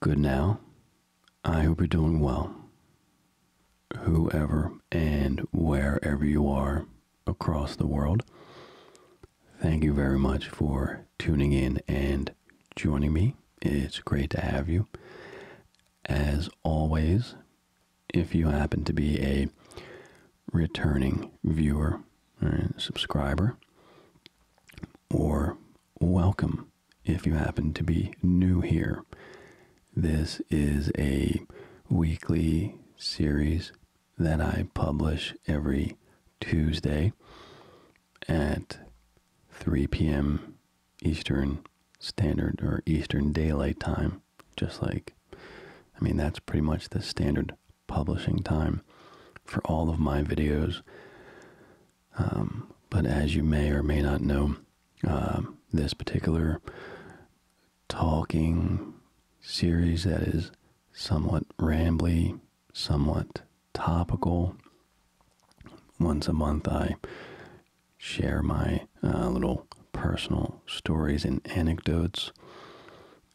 Good now. I hope you're doing well. Whoever and wherever you are across the world, thank you very much for tuning in and joining me. It's great to have you. As always, if you happen to be a returning viewer, right, subscriber, or welcome if you happen to be new here. This is a weekly series that I publish every Tuesday at 3 p.m. Eastern Standard or Eastern Daylight Time, just like, I mean, that's pretty much the standard publishing time for all of my videos. Um, but as you may or may not know, um, this particular talking series that is somewhat rambly, somewhat topical. Once a month, I share my uh, little personal stories and anecdotes.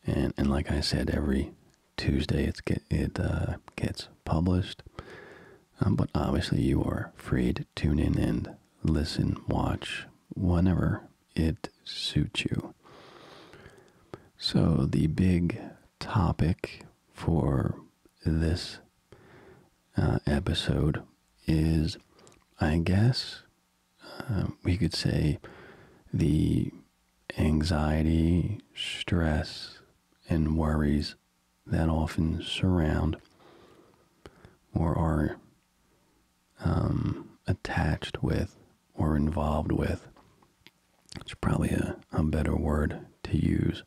And, and like I said, every Tuesday it's get, it uh, gets published. Um, but obviously, you are free to tune in and listen, watch whenever it suits you. So, the big topic for this uh, episode is, I guess, uh, we could say the anxiety, stress, and worries that often surround or are um, attached with or involved with. It's probably a, better word to use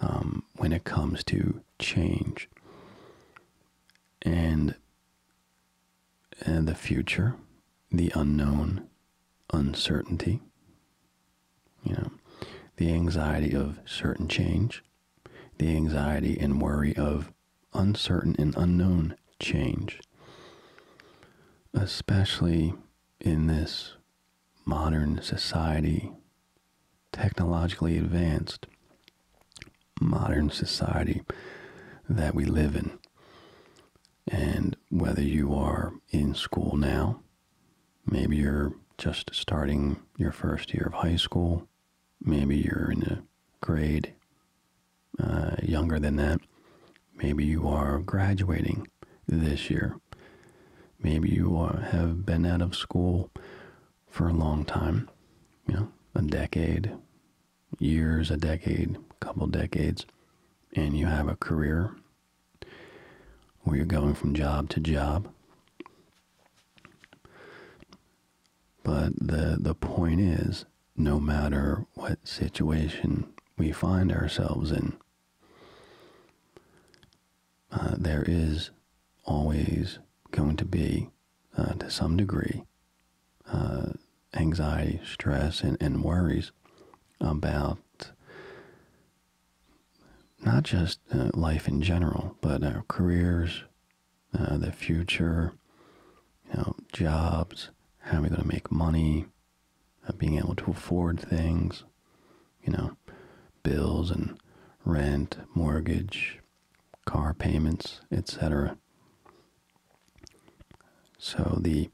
um, when it comes to change and, and uh, the future, the unknown, uncertainty, you know, the anxiety of certain change, the anxiety and worry of uncertain and unknown change, especially in this modern society, technologically advanced modern society that we live in. And whether you are in school now, Maybe you're just starting your first year of high school. Maybe you're in the grade uh, younger than that. Maybe you are graduating this year. Maybe you uh, have been out of school for a long time, you know, a decade, years, a decade, a couple decades, and you have a career or you're going from job to job. But the, the point is, no matter what situation we find ourselves in, uh, there is always going to be, uh, to some degree, uh, anxiety, stress, and, and worries about not just uh, life in general, but uh, careers, uh, the future, you know, jobs, how are we going to make money, being able to afford things, you know, bills and rent, mortgage, car payments, etc. So the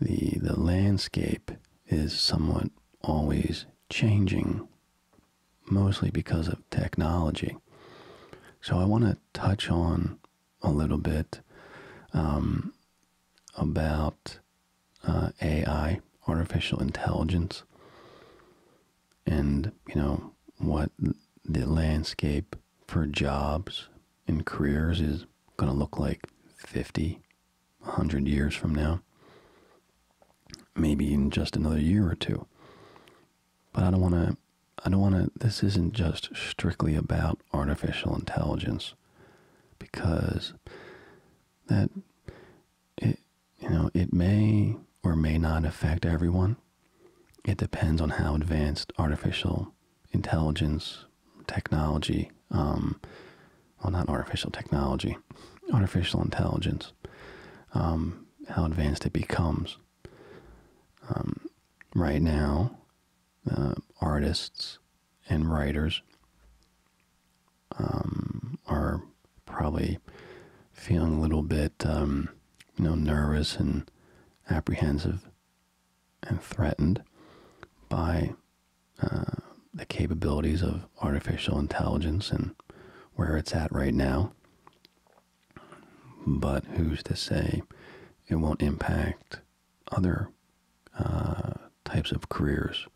the the landscape is somewhat always changing, mostly because of technology. So I want to touch on a little bit um, about uh, AI, artificial intelligence, and you know what the landscape for jobs and careers is going to look like 50 100 years from now, maybe in just another year or two. But I don't want to, I don't want to, this isn't just strictly about artificial intelligence because that, it, you know, it may or may not affect everyone. It depends on how advanced artificial intelligence technology, um, well, not artificial technology, artificial intelligence, um, how advanced it becomes. Um, right now, uh, artists and writers are probably feeling a little bit, you know, nervous and apprehensive and threatened by uh, the capabilities of artificial intelligence and where it's at right now. But who's to say it won't impact other uh, types of careers?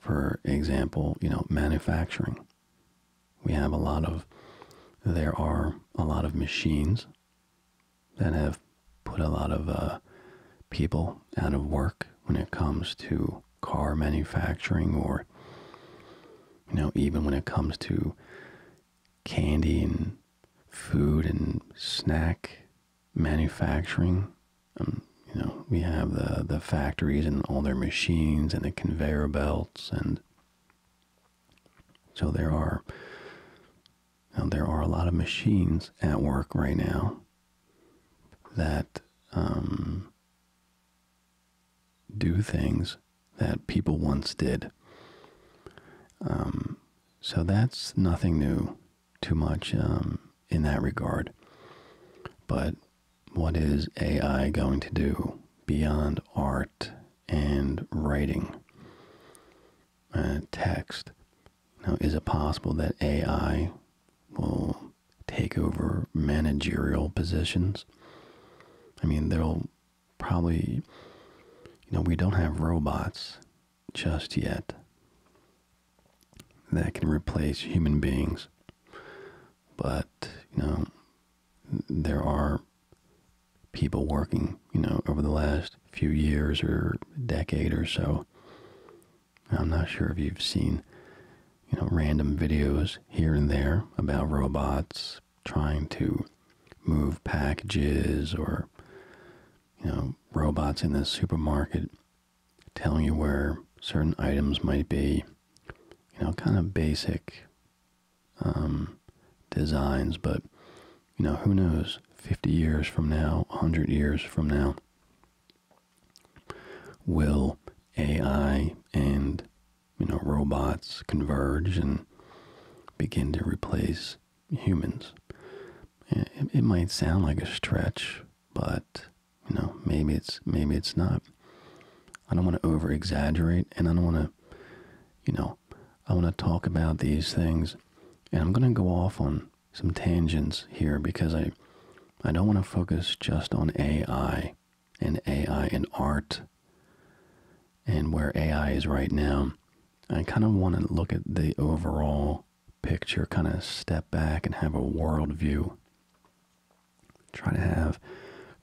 For example, you know, manufacturing. We have a lot of, there are a lot of machines that have put a lot of uh, people out of work when it comes to car manufacturing or you know even when it comes to candy and food and snack manufacturing um, you know we have the the factories and all their machines and the conveyor belts and so there are there are a lot of machines at work right now that um, do things that people once did. Um, so that's nothing new too much um, in that regard. But what is AI going to do beyond art and writing, uh, text, now, is it possible that AI will take over managerial positions? I mean, there'll probably, you know, we don't have robots just yet that can replace human beings. But, you know, there are people working, you know, over the last few years or decade or so I'm not sure if you've seen, you know, random videos here and there about robots trying to move packages or, you know, robots in the supermarket telling you where certain items might be. You know, kind of basic um, designs, but, you know, who knows? 50 years from now, 100 years from now, will AI and you know robots converge and begin to replace humans? It, might sound like a stretch, but you know maybe it's maybe it's not. I don't want to over exaggerate, and I don't want to, you know, I want to talk about these things, and I'm going to go off on some tangents here because I I don't want to focus just on AI and AI and art and where AI is right now. I kind of want to look at the overall picture, kind of step back and have a world view. Try to have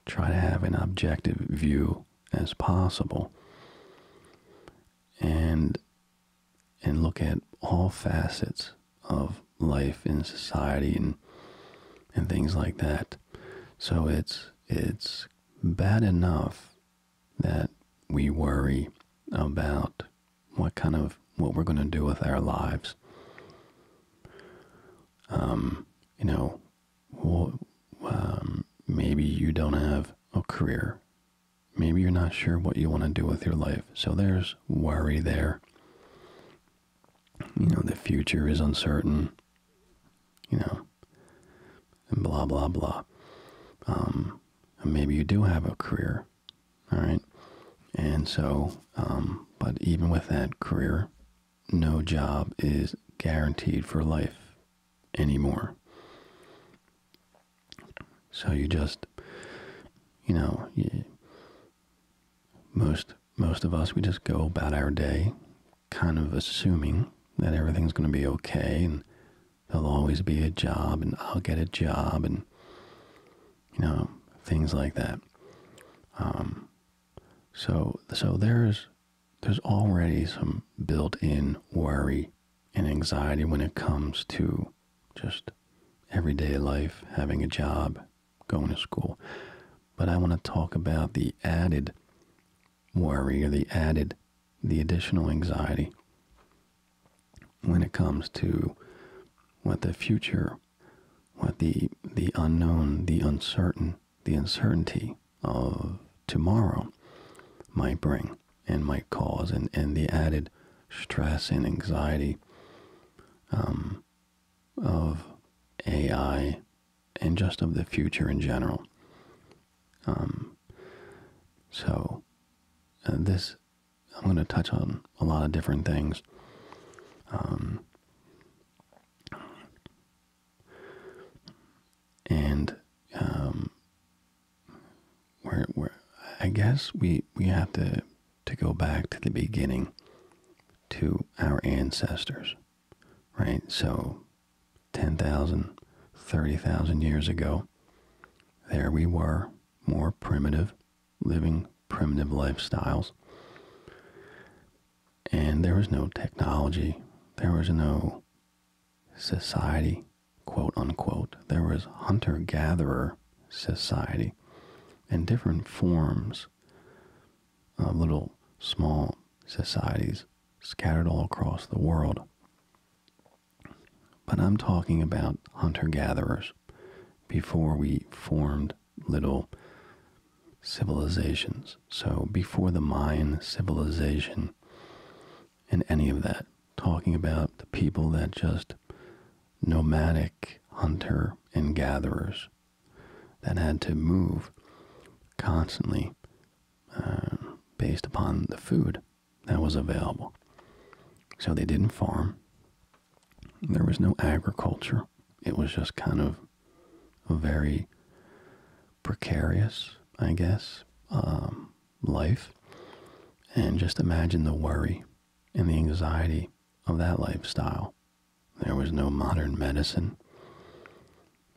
try to have an objective view as possible. And and look at all facets of life in society and and things like that. So it's it's bad enough that we worry about what kind of what we're going to do with our lives. Um, you know, um, maybe you don't have a career Maybe you're not sure what you want to do with your life. So there's worry there. You know, the future is uncertain. You know, and blah, blah, blah. Um, maybe you do have a career. All right. And so, um, but even with that career, no job is guaranteed for life anymore. So you just, you know, most most of us we just go about our day, kind of assuming that everything's going to be okay and there'll always be a job and I'll get a job and you know things like that. Um, so so there's there's already some built-in worry and anxiety when it comes to just everyday life, having a job, going to school. But I want to talk about the added worry or the added, the additional anxiety when it comes to what the future, what the, the unknown, the uncertain, the uncertainty of tomorrow might bring and might cause, and, and the added stress and anxiety um, of AI and just of the future in general. Um, so, uh, this I'm going to touch on a lot of different things. Um, and um, we're, I guess we, we have to to go back to the beginning to our ancestors, right? So 10,000, 30,000 years ago, there we were, more primitive, living primitive lifestyles. And there was no technology, there was no society, quote unquote. There was hunter gatherer society and different forms of little small societies scattered all across the world. But I'm talking about hunter gatherers before we formed little civilizations. So, before the Mayan civilization and any of that, talking about the people that just nomadic hunter and gatherers that had to move constantly uh, based upon the food that was available. So they didn't farm. There was no agriculture. It was just kind of a very precarious, I guess, um, life. And just imagine the worry and the anxiety of that lifestyle. There was no modern medicine.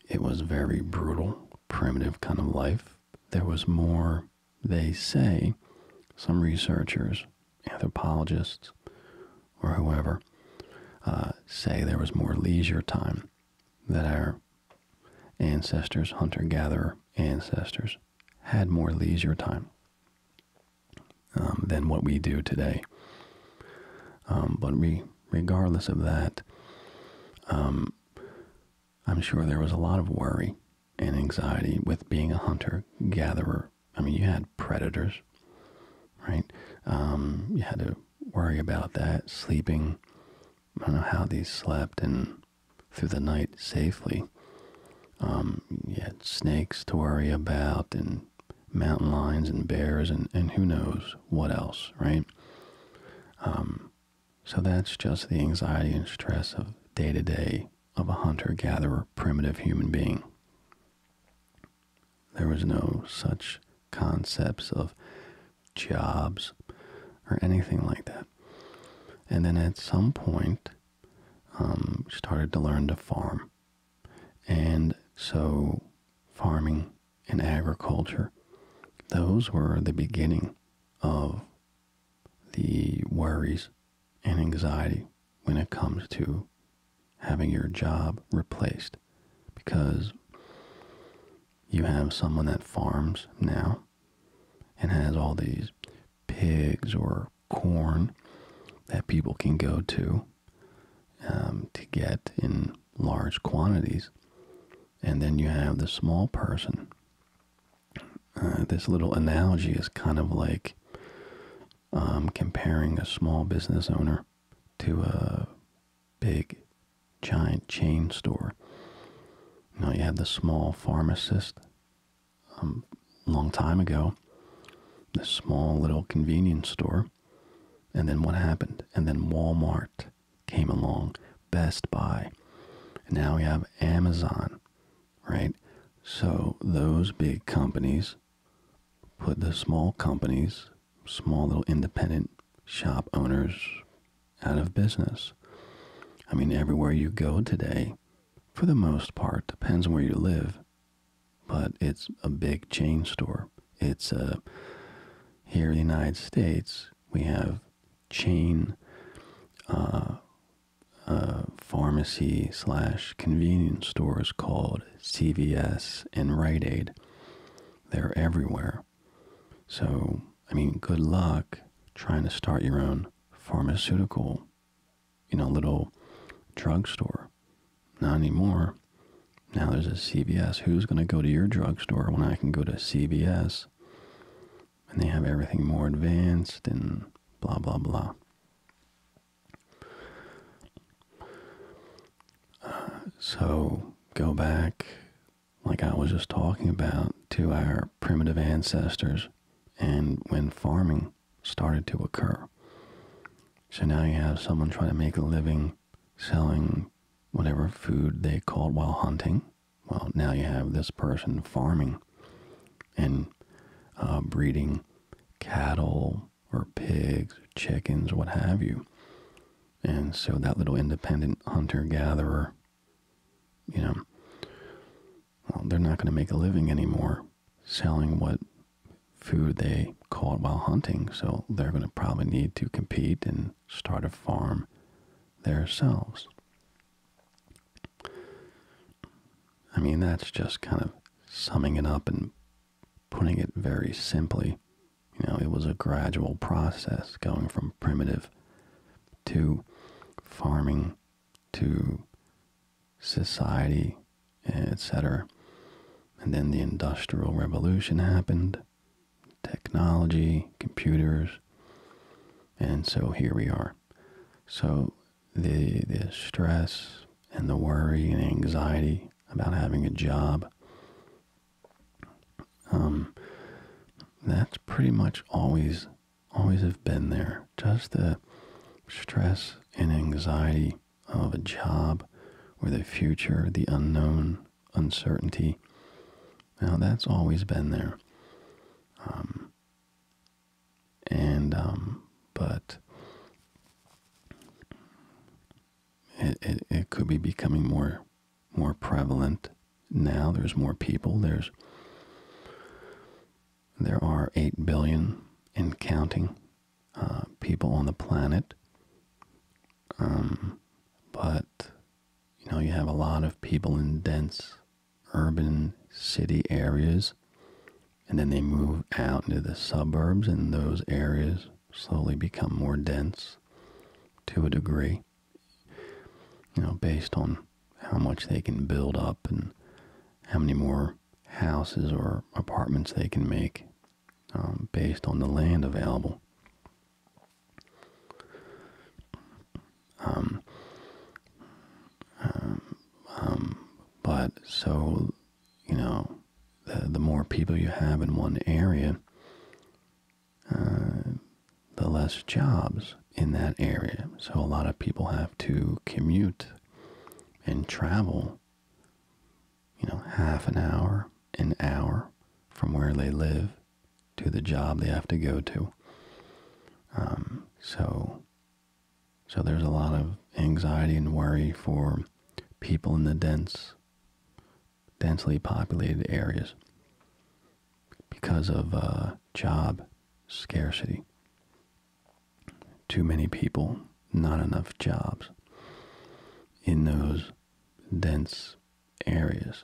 It was very brutal, primitive kind of life. There was more, they say, some researchers, anthropologists, or whoever, uh, say there was more leisure time that our ancestors, hunter gatherer ancestors, had more leisure time. Um, than what we do today. Um, but regardless of that, um, I'm sure there was a lot of worry and anxiety with being a hunter gatherer. I mean, you had predators, right? you had to worry about that, sleeping. I don't know how these slept and through the night safely country. Um, snakes to worry about, and mountain lions, and bears, and, and who knows what else, right? Um, so that's just the anxiety and stress of day to day of a hunter gatherer, primitive human being. There was no such concepts of jobs or anything like that. And then at some point, um, started to learn to farm. And so farming and agriculture, those were the beginning of the worries and anxiety when it comes to having your job replaced because you have someone that farms now and has all these pigs or corn that people can go to um, to get in large quantities. And then you have the small person. Uh, this little analogy is kind of like um, comparing a small business owner to a big giant chain store. Now you have the small pharmacist a um, long time ago, this small little convenience store. And then what happened? And then Walmart came along, Best Buy. And now we have Amazon, right? So those big companies put the small companies, small little independent shop owners out of business. I mean, everywhere you go today, for the most part, depends on where you live, but it's a big chain store. It's a uh, here in the United States we have chain uh, uh, pharmacy slash convenience stores called CVS and Rite Aid. They're everywhere. So I mean, good luck trying to start your own pharmaceutical you know, little drugstore. Not anymore. Now there's a CVS. Who's going to go to your drugstore when I can go to CVS? And they have everything more advanced and blah, blah, blah. so go back, like I was just talking about, to our primitive ancestors. And when farming, started to occur. So now you have someone trying to make a living selling whatever food they caught while hunting. Well, now you have this person farming and uh, breeding cattle or pigs, chickens, what have you. And so that little independent hunter gatherer, you know, well, they're not going to make a living anymore selling what food they caught while hunting, so they're going to probably need to compete and start a farm themselves. I mean, that's just kind of summing it up and putting it very simply. You know, it was a gradual process going from primitive to farming to society, etc. And then the Industrial Revolution happened, technology, computers, and so here we are. So the, the stress and the worry and anxiety about having a job, um, that's pretty much always, always have been there. Just the stress and anxiety of a job or the future, the unknown, uncertainty. Now, that's always been there. Um, and, um, but it, it, it could be becoming more, more prevalent now. There's more people. There's, there are 8 billion and counting uh, people on the planet. Um, but you know, you have a lot of people in dense urban city areas, and then they move out into the suburbs, and those areas slowly become more dense to a degree, you know, based on how much they can build up and how many more houses or apartments they can make um, based on the land available. Um, um, but so, you know, the, more people you have in one area, uh, the less jobs in that area. So a lot of people have to commute and travel you know, half an hour, an hour from where they live to the job they have to go to. Um, so, so there's a lot of anxiety and worry for people in the dense, densely populated areas because of uh, job scarcity. Too many people, not enough jobs in those dense areas.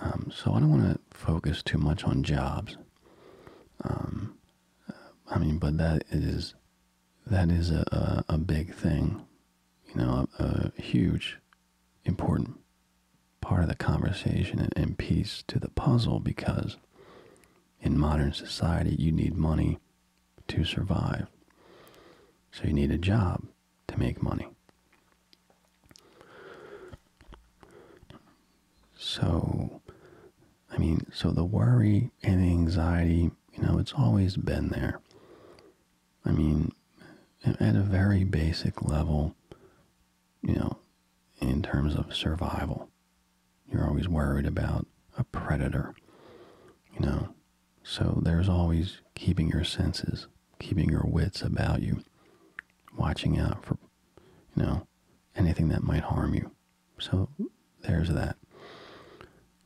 Um, so I don't want to focus too much on jobs. Um, I mean, but that is that is a, a, big thing, you know, a, huge, important part of the conversation and piece to the puzzle because in modern society, you need money to survive. So you need a job to make money. So, I mean, so the worry and the anxiety, you know, it's always been there. I mean, at a very basic level, you know, in terms of survival. You're always worried about a predator, you know. So there's always keeping your senses, keeping your wits about you, watching out for, you know, anything that might harm you. So there's that,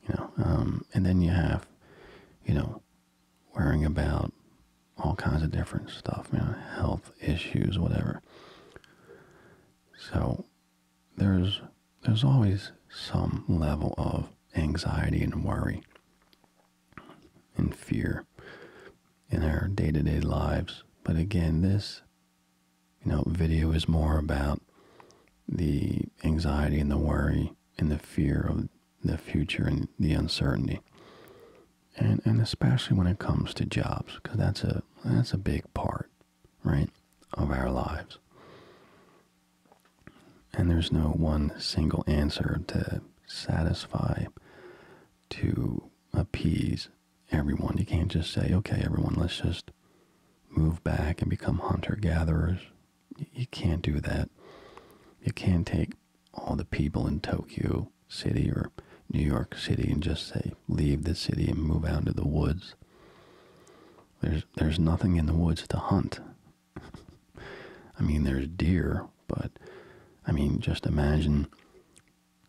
you know. Um, and then you have, you know, worrying about all kinds of different stuff, you health issues, whatever. So there's there's always some level of anxiety and worry and fear in our day-to-day lives. But again, this you know video is more about the anxiety and the worry and the fear of the future and the uncertainty. And and especially when it comes to jobs, because that's a that's a big part right, of our lives. And there's no one single answer to satisfy, to appease everyone. You can't just say, okay, everyone, let's just move back and become hunter gatherers. You can't do that. You can't take all the people in Tokyo City or New York City and just say, leave the city and move out into the woods. There's there's nothing in the woods to hunt. I mean, there's deer, but I mean, just imagine,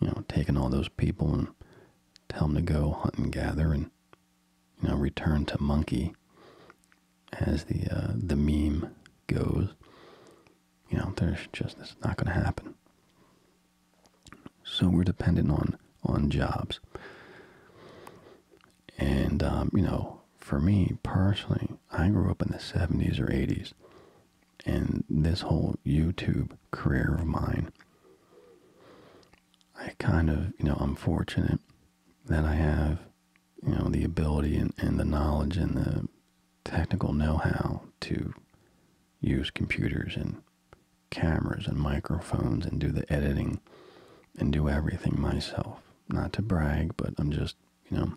you know, taking all those people and tell them to go hunt and gather, and you know, return to monkey, as the uh, the meme goes. You know, there's just it's not going to happen. So we're dependent on on jobs. And um, you know, for me personally, I grew up in the 70s or 80s, and this whole YouTube career of mine, I kind of, you know, I'm fortunate that I have, you know, the ability and the knowledge and the technical know-how to use computers and cameras and microphones and do the editing and do everything myself. Not to brag, but I'm just, you know,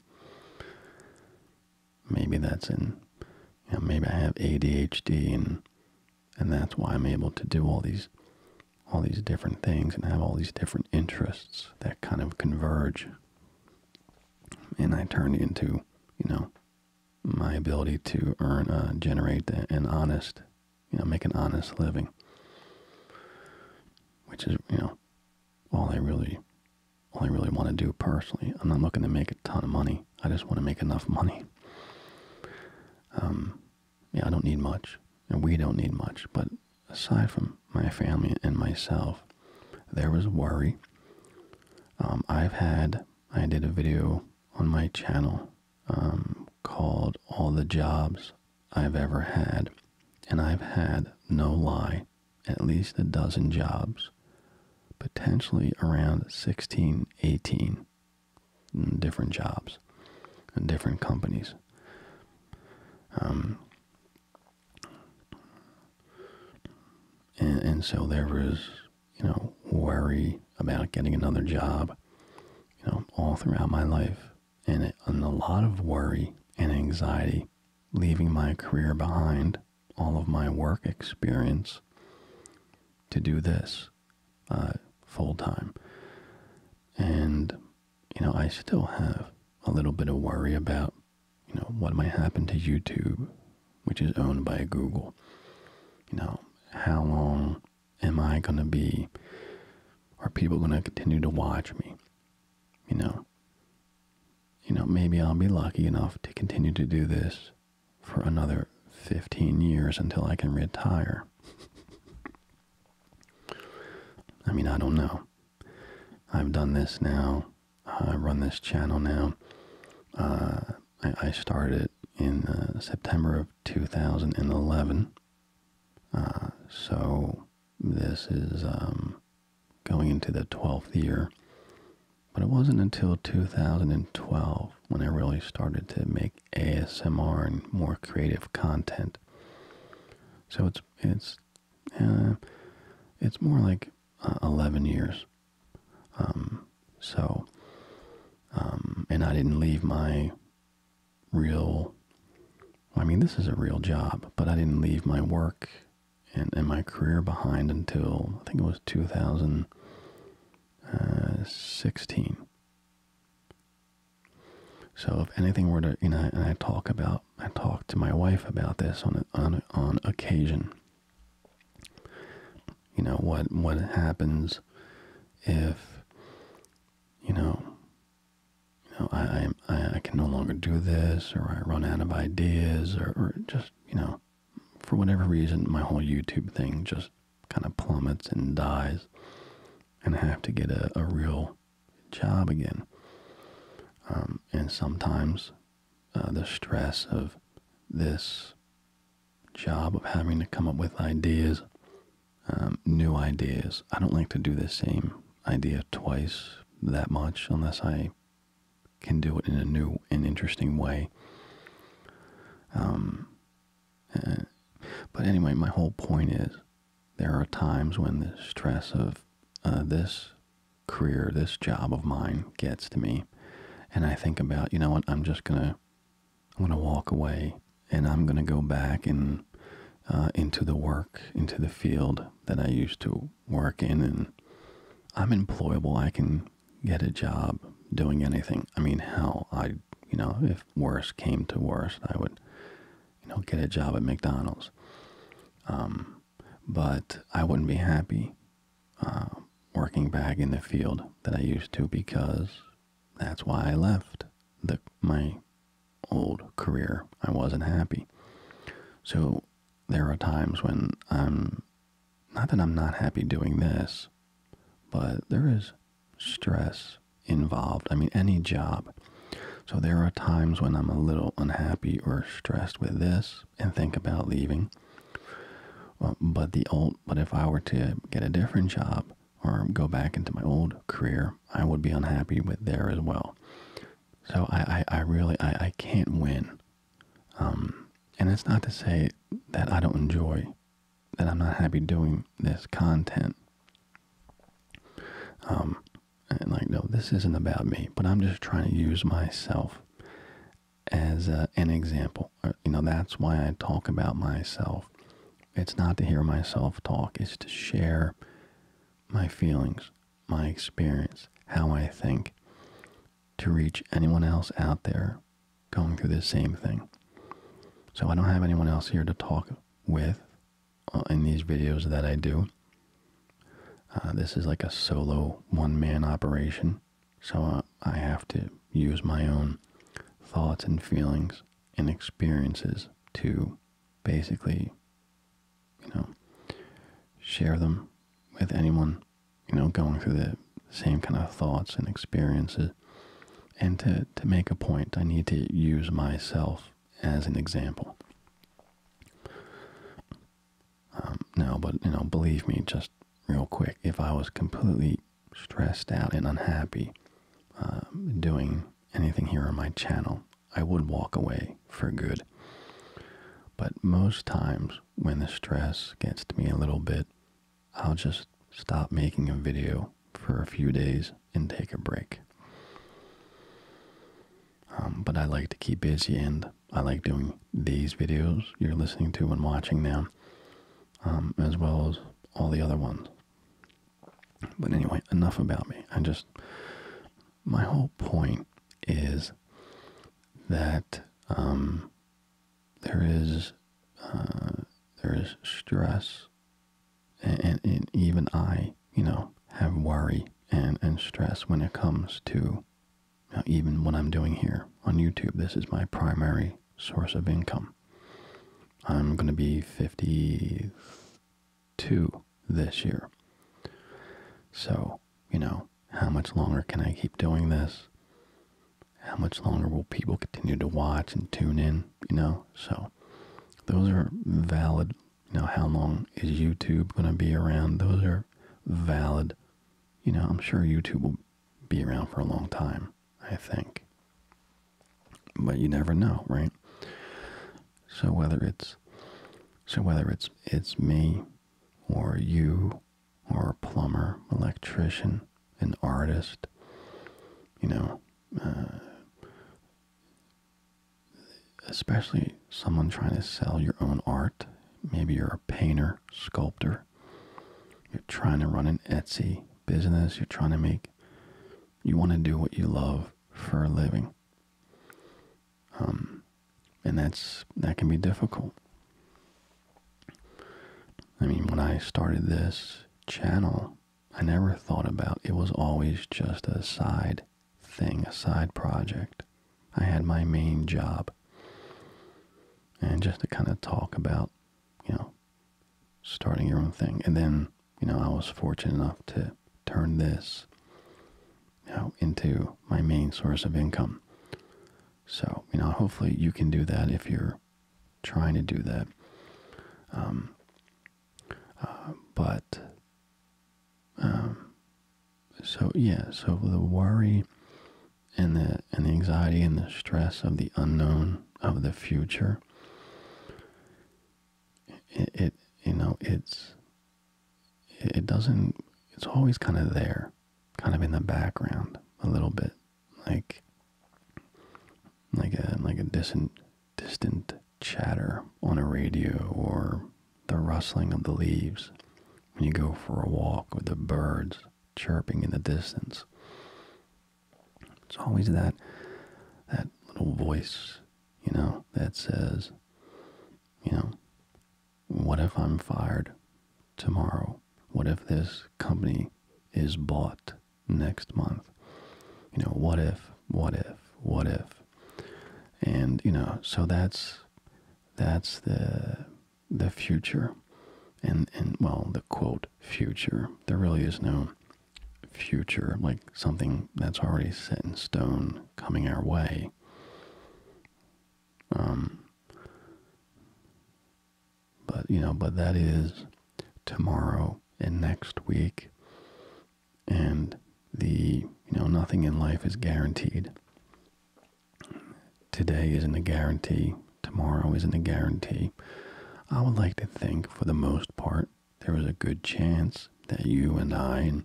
maybe that's in, maybe I have ADHD and and that's why I'm able to do all these all these different things and have all these different interests that kind of converge. And I turn into, you know, my ability to earn, uh, generate an honest, you know, make an honest living, which is, you know, all I really, all I really want to do personally. I'm not looking to make a ton of money. I just want to make enough money. Um, yeah, I don't need much, and we don't need much. But aside from my family and myself, there was worry. Um, I've had, I did a video on my channel um, called All the Jobs I've Ever Had, and I've had, no lie, at least a dozen jobs, potentially around 16, 18 different jobs and different companies. Um, and, and so there was you know, worry about getting another job, you know, all throughout my life. And, and a lot of worry and anxiety, leaving my career behind, all of my work experience to do this uh, full time. And, you know, I still have a little bit of worry about, you know, what might happen to YouTube, which is owned by Google. You know, how long am I going to be, are people going to continue to watch me? You know, you know, maybe I'll be lucky enough to continue to do this for another 15 years until I can retire. I mean, I don't know. I've done this now. I run this channel now. Uh, I, I started in uh, September of 2011. Uh, so this is um, going into the 12th year. But it wasn't until 2012 when I really started to make ASMR and more creative content. So it's it's uh, it's more like 11 years. Um, so, um, and I didn't leave my real, I mean, this is a real job, but I didn't leave my work and, my career behind until I think it was 2016. Uh, so if anything were to, you know, and I talk about, I talk to my wife about this on on occasion you know what what happens if you know I I I can no longer do this or I run out of ideas or, or just you know for whatever reason my whole YouTube thing just kind of plummets and dies and have to get a, a real job again um, and sometimes uh, the stress of this job of having to come up with ideas, um, new ideas. I don't like to do the same idea twice that much unless I can do it in a new and interesting way. Um, eh, but anyway, my whole point is there are times when the stress of uh, this career, this job of mine gets to me, and I think about, you know what, I'm just going to I'm going to walk away and I'm going to go back and uh, into the work, into the field that I used to work in. And I'm employable. I can get a job doing anything. I mean, hell, I, you know, if worst came to worst, I would, you know, get a job at McDonald's. Um, but I wouldn't be happy uh, working back in the field that I used to because that's why I left the my old career. I wasn't happy. So there are times when I'm not that I'm not happy doing this, but there is stress involved. I mean, any job. So there are times when I'm a little unhappy or stressed with this and think about leaving. but the old, but if I were to get a different job, or go back into my old career, I would be unhappy with there as well. So I, I, really I, I can't win. Um, and it's not to say that I don't enjoy, that I'm not happy doing this content. Um, and like, no, this isn't about me, but I'm just trying to use myself as uh, an example. Uh, you know, that's why I talk about myself it's not to hear myself talk, it's to share my feelings, my experience, how I think, to reach anyone else out there going through the same thing. So I don't have anyone else here to talk with uh, in these videos that I do. Uh, this is like a solo one man operation, so uh, I have to use my own thoughts and feelings and experiences to basically, you know, share them with anyone, you know, going through the same kind of thoughts and experiences. And to, to make a point, I need to use myself as an example. Um, no, but, you know, believe me, just real quick, if I was completely stressed out and unhappy um, doing anything here on my channel, I would walk away for good. But most times when the stress gets to me a little bit, I'll just stop making a video for a few days and take a break. Um, but I like to keep busy and I like doing these videos you're listening to and watching now, um, as well as all the other ones. But anyway, enough about me. I just, my whole point is that um, there is uh, there is stress, and, and even I, you know, have worry and and stress when it comes to. even what I'm doing here on YouTube, this is my primary source of income. I'm going to be 52 this year. So, you know, how much longer can I keep doing this? How much longer will people continue to watch and tune in, you know? So, those are valid, you know, how long is YouTube going to be around? Those are valid, you know, I'm sure YouTube will be around for a long time. I think. But you never know, right? So whether it's so whether it's it's me or you or a plumber, electrician, an artist, you know, uh, especially someone trying to sell your own art. Maybe you're a painter, sculptor. You're trying to run an Etsy business. You're trying to make you want to do what you love for a living. Um, and that's that can be difficult. I mean, when I started this channel, I never thought about it was always just a side thing, a side project. I had my main job. And just to kind of talk about, you know, starting your own thing. And then, you know, I was fortunate enough to turn this you know, into my main source of income. So, you know, hopefully you can do that if you're trying to do that. Um, uh, but, um, so yeah, so the worry and the, and the anxiety and the stress of the unknown of the future it, you know it's it doesn't it's always kind of there kind of in the background a little bit like like a like a distant distant chatter on a radio or the rustling of the leaves when you go for a walk with the birds chirping in the distance it's always that that little voice, you know, that says, you know, what if I'm fired tomorrow? What if this company is bought next month? You know, what if, what if, what if? And, you know, so that's that's the the future and and well the quote future. There really is no future, like something that's already set in stone coming our way. Um, but, you know, but that is tomorrow and next week. And the, you know, nothing in life is guaranteed. Today isn't a guarantee. Tomorrow isn't a guarantee. I would like to think, for the most part, there was a good chance that you and I and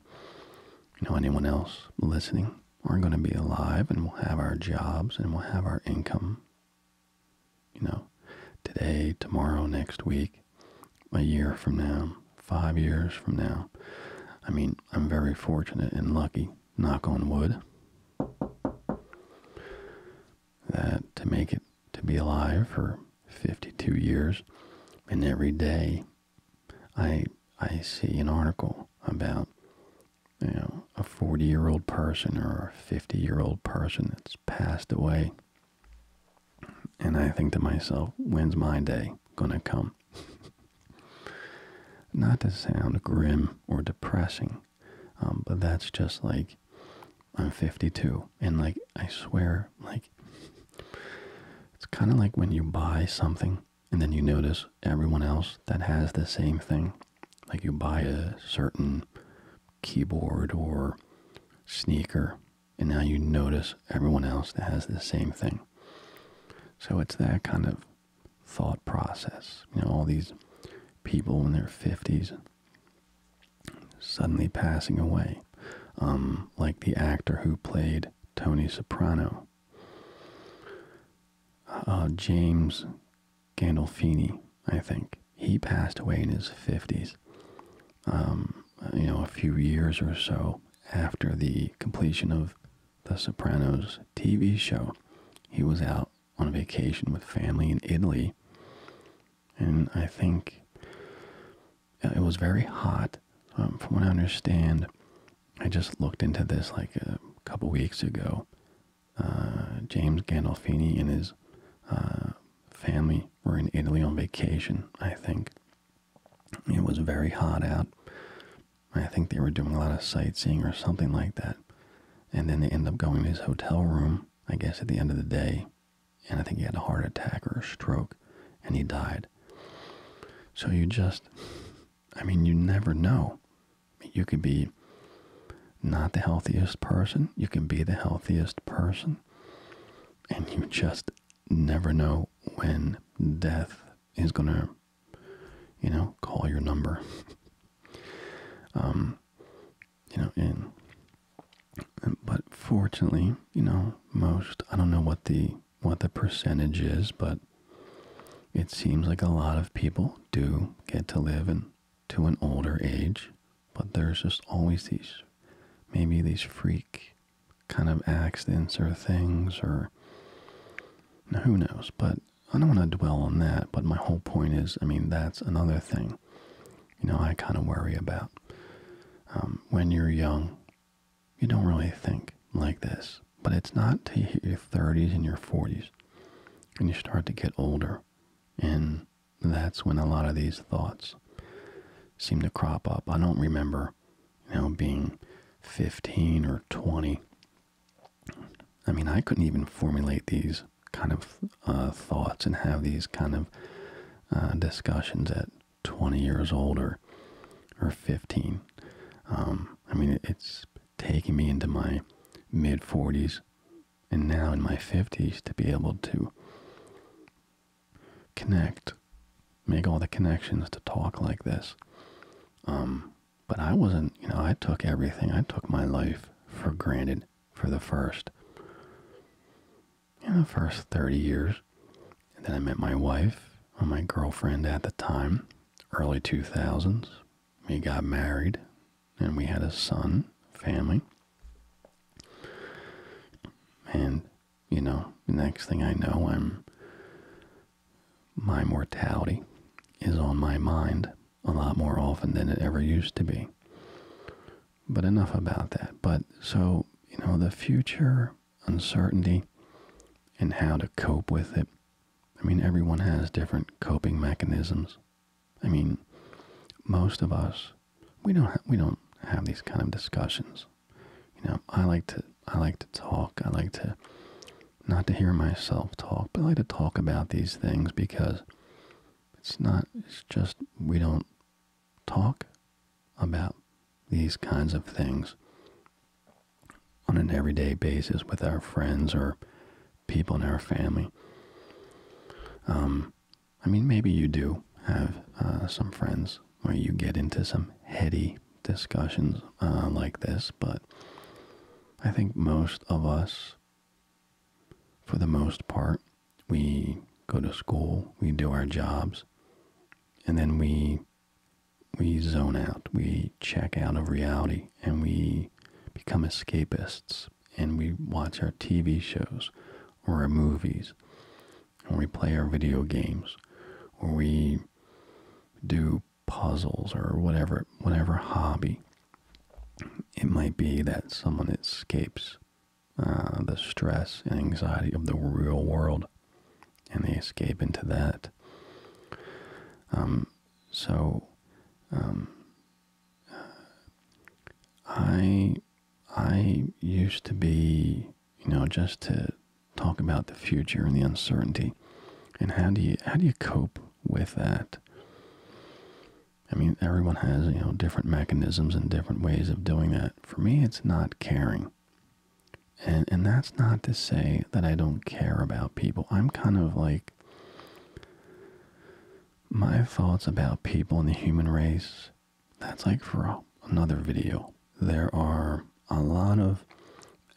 you know anyone else listening are going to be alive and we'll have our jobs and we'll have our income. You know, today, tomorrow, next week, a year from now, five years from now. I mean, I'm very fortunate and lucky, knock on wood, that to make it to be alive for 52 years, and every day I I see an article about you know a 40 year old person or a 50 year old person that's passed away, and I think to myself, when's my day gonna come? Not to sound grim or depressing, um, but that's just like I'm 52 and like I swear like it's kind of like when you buy something and then you notice everyone else that has the same thing like you buy a certain keyboard or sneaker and now you notice everyone else that has the same thing so it's that kind of thought process you know all these people in their 50s suddenly passing away, um, like the actor who played Tony Soprano, uh, James Gandolfini. I think he passed away in his fifties. Um, you know, a few years or so after the completion of The Sopranos TV show, he was out on a vacation with family in Italy and I think uh, it was very hot. Um, from what I understand, I just looked into this like a couple weeks ago. Uh, James Gandolfini and his uh, family were in Italy on vacation, I think. It was very hot out. I think they were doing a lot of sightseeing or something like that. And then they end up going to his hotel room, I guess, at the end of the day and I think he had a heart attack or a stroke and he died. So you just, I mean, you never know. You can be not the healthiest person, you can be the healthiest person, and you just never know when death is going to, you know, call your number. Um, you know, in. But fortunately, you know, most I don't know what the what the percentage is, but it seems like a lot of people do get to live in to an older age, but there's just always these maybe these freak kind of accidents or things or who knows, but I don't want to dwell on that, but my whole point is, I mean, that's another thing you know, I kind of worry about. Um, when you're young, you don't really think like this, but it's not till your 30s and your 40s and you start to get older, and that's when a lot of these thoughts seem to crop up. I don't remember, you know, being 15 or 20. I mean, I couldn't even formulate these kind of uh, thoughts and have these kind of uh, discussions at 20 years old or, or 15. Um, I mean, it's taking me into my mid 40s and now in my 50s to be able to connect, make all the connections to talk like this. Um, but I wasn't, you know, I took everything, I took my life for granted for the first in the first 30 years. And then I met my wife, or my girlfriend at the time, early 2000s. We got married and we had a son, family. And, you know, next thing I know, I'm my mortality is on my mind a lot more often than it ever used to be. But enough about that. But so, you know, the future uncertainty and how to cope with it. I mean, everyone has different coping mechanisms. I mean, most of us, we don't we don't have these kind of discussions. You know, I like to I like to talk. I like to not to hear myself talk, but I like to talk about these things because it's not it's just we don't talk about these kinds of things on an everyday basis with our friends or people in our family. Um, I mean, maybe you do have uh, some friends where you get into some heady discussions uh, like this, but I think most of us, for the most part, we go to school, we do our jobs, and then we we zone out, we check out of reality, and we become escapists, and we watch our TV shows or our movies, or we play our video games, or we do puzzles or whatever whatever hobby it might be that someone escapes uh, the stress and anxiety of the real world, and they escape into that. Um, so, um, I I used to be, you know, just to talk about the future and the uncertainty, and how do you how do you cope with that? I mean, everyone has you know different mechanisms and different ways of doing that for me it's not caring and and that's not to say that I don't care about people I'm kind of like my thoughts about people in the human race that's like for another video there are a lot of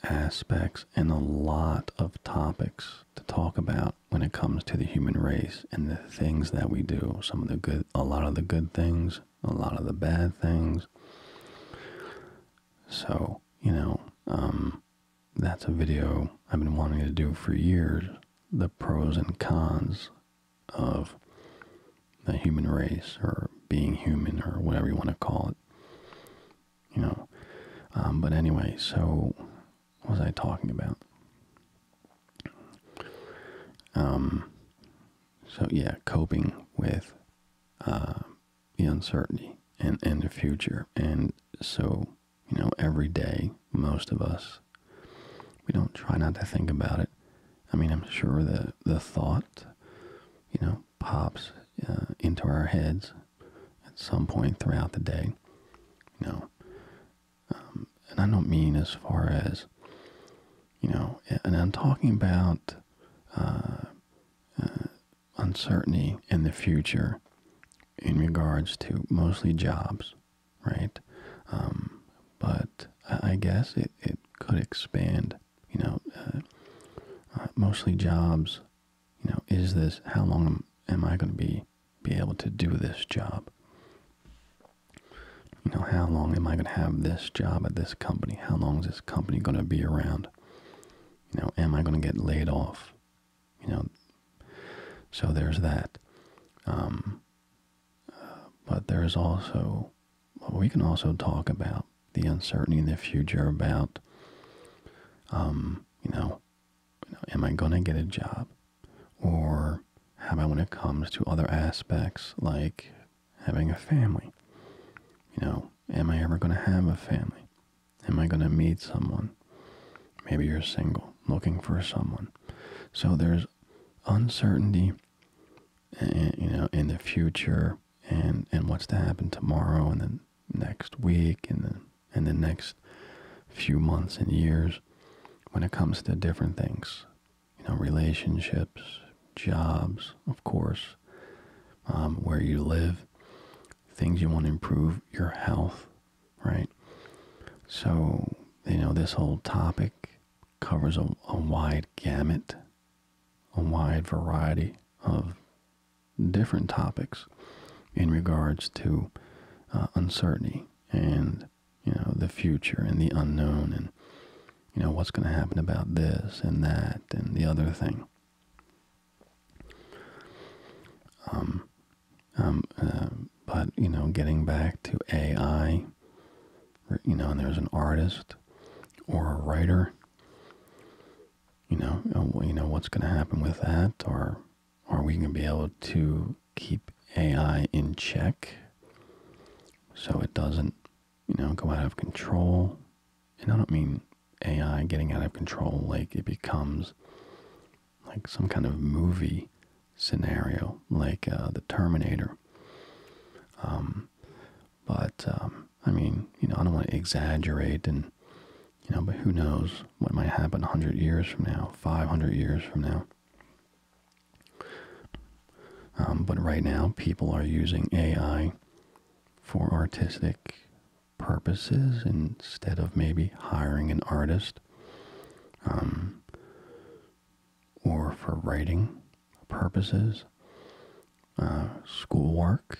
aspects and a lot of topics to talk about when it comes to the human race and the things that we do some of the good a lot of the good things a lot of the bad things. So, you know, um, that's a video I've been wanting to do for years the pros and cons of the human race or being human or whatever you want to call it. You know, um, but anyway, so what was I talking about? Um, so yeah, coping with um, the uncertainty and, and the future. And so, you know, every day, most of us, we don't try not to think about it. I mean, I'm sure the, the thought, you know, pops uh, into our heads at some point throughout the day. You know, um, and I don't mean as far as you know, and I'm talking about uh, uh, uncertainty in the future in regards to mostly jobs, right? Um, but I, guess it, it could expand, you know, uh, mostly jobs, you know, is this, how long am, am I going to be, be able to do this job? you know, how long am I going to have this job at this company? How long is this company going to be around? You know, am I going to get laid off? You know, so there's that. Um, uh, but there's also, we can also talk about the uncertainty in the future about, um, you know, you know am I going to get a job? Or how about when it comes to other aspects like having a family. You know, am I ever going to have a family? Am I going to meet someone? Maybe you're single, looking for someone. So there's uncertainty, eh, eh, you know, in the future, and and what's to happen tomorrow, and the next week, and then and the next few months and years, when it comes to different things, you know, relationships, jobs, of course, um, where you live, things you want to improve, your health, right? So, you know, this whole topic covers a, wide gamut, a wide variety of different topics in regards to uh, uncertainty and you know, the future and the unknown and, you know, what's going to happen about this and that and the other thing. Um, um, uh, but, you know, getting back to AI, you know, and there's an artist or a writer, you know, uh, you know what's going to happen with that or are we going to be able to keep AI in check so it doesn't you know, go out of control. And I don't mean AI getting out of control like it becomes like some kind of movie scenario, like uh, the Terminator. Um, but um, I mean, you know, I don't want to exaggerate, and you know, but who knows what might happen hundred years from now, five hundred years from now. Um, but right now, people are using AI for artistic purposes instead of maybe hiring an artist um, or for writing purposes, uh, schoolwork.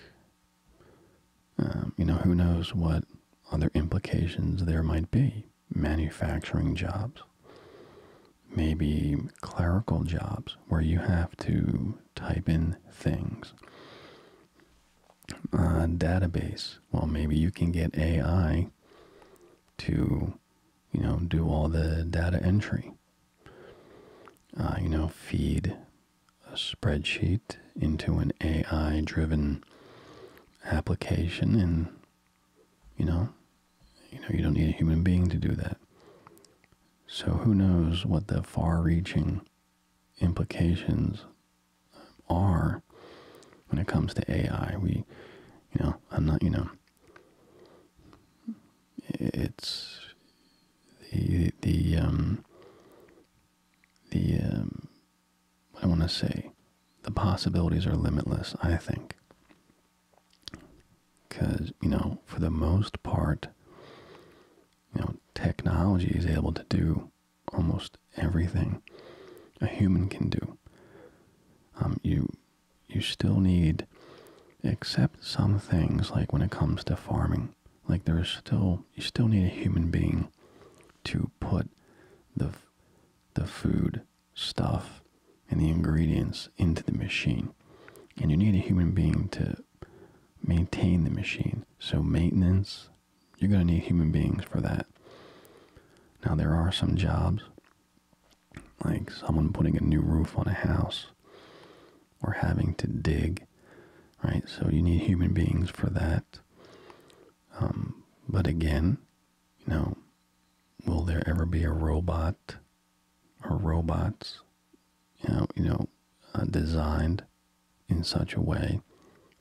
Um, you know, who knows what other implications there might be. Manufacturing jobs maybe clerical jobs where you have to type in things. Uh, database. Well, maybe you can get AI to, you know, do all the data entry. Uh, you know, feed a spreadsheet into an AI driven application and you know? You know, you don't need a human being to do that. So who knows what the far-reaching implications are when it comes to AI. We, you know, I'm not, you know, it's the, the, um, the, um, I want to say, the possibilities are limitless, I think. Because, you know, for the most part, you know, technology is able to do almost everything a human can do. Um, you you still need, except some things like when it comes to farming, like there's still you still need a human being to put the the food stuff and the ingredients into the machine. And you need a human being to maintain the machine. So maintenance, you're going to need human beings for that. Now there are some jobs, like someone putting a new roof on a house or having to dig, right? So you need human beings for that. Um, but again, you know, will there ever be a robot or robots, you know, you know, uh, designed in such a way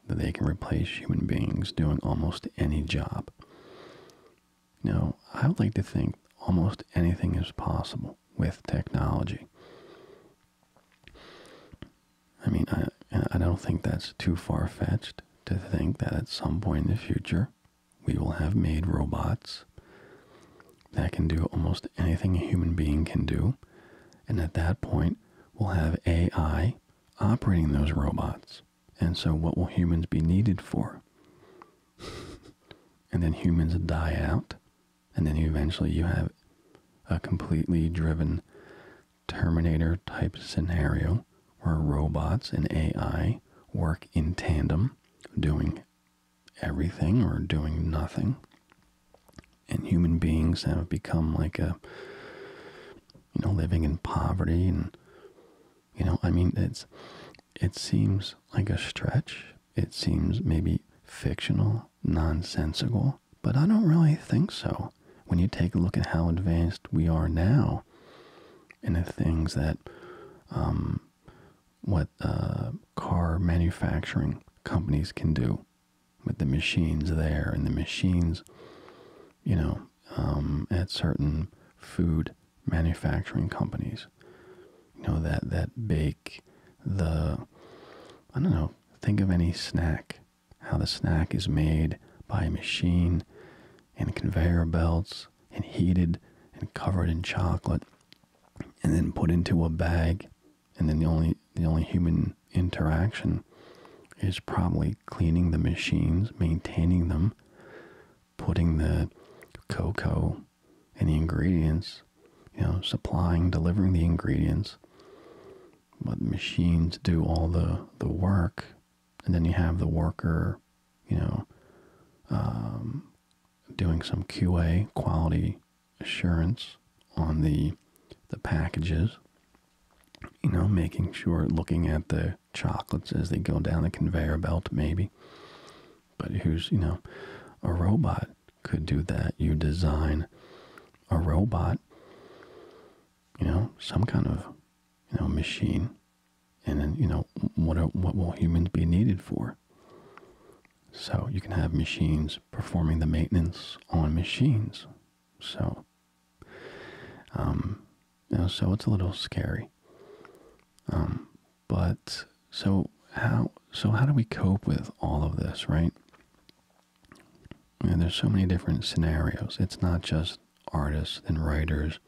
that they can replace human beings doing almost any job. You I would like to think almost anything is possible with technology. I mean, I, I don't think that's too far-fetched to think that at some point in the future, we will have made robots that can do almost anything a human being can do. And at that point, we'll have AI operating those robots. And so, what will humans be needed for? and then humans die out. And then eventually, you have a completely driven Terminator type scenario where robots and AI work in tandem doing everything or doing nothing. And human beings have become like a, you know, living in poverty. And, you know, I mean, it's, it seems like a stretch. It seems maybe fictional, nonsensical, but I don't really think so. When you take a look at how advanced we are now and the things that um, what uh, car manufacturing companies can do with the machines there and the machines, you know, um, at certain food manufacturing companies, you know, that, that bake the, I don't know, think of any snack, how the snack is made by a machine and conveyor belts and heated and covered in chocolate and then put into a bag and then the only the only human interaction is probably cleaning the machines, maintaining them, putting the cocoa and the ingredients, you know, supplying, delivering the ingredients. But machines do all the, the work, and then you have the worker, you know, um, doing some QA quality assurance on the the packages. You know, making sure looking at the chocolates as they go down the conveyor belt, maybe. But who's you know, a robot could do that. You design a robot, you know, some kind of you know machine, and then you know what what will humans be needed for? So you can have machines performing the maintenance on machines. So, um, so it's a little scary. Um, but so how so how do we cope with all of this, right? And there's so many different scenarios. It's not just artists and writers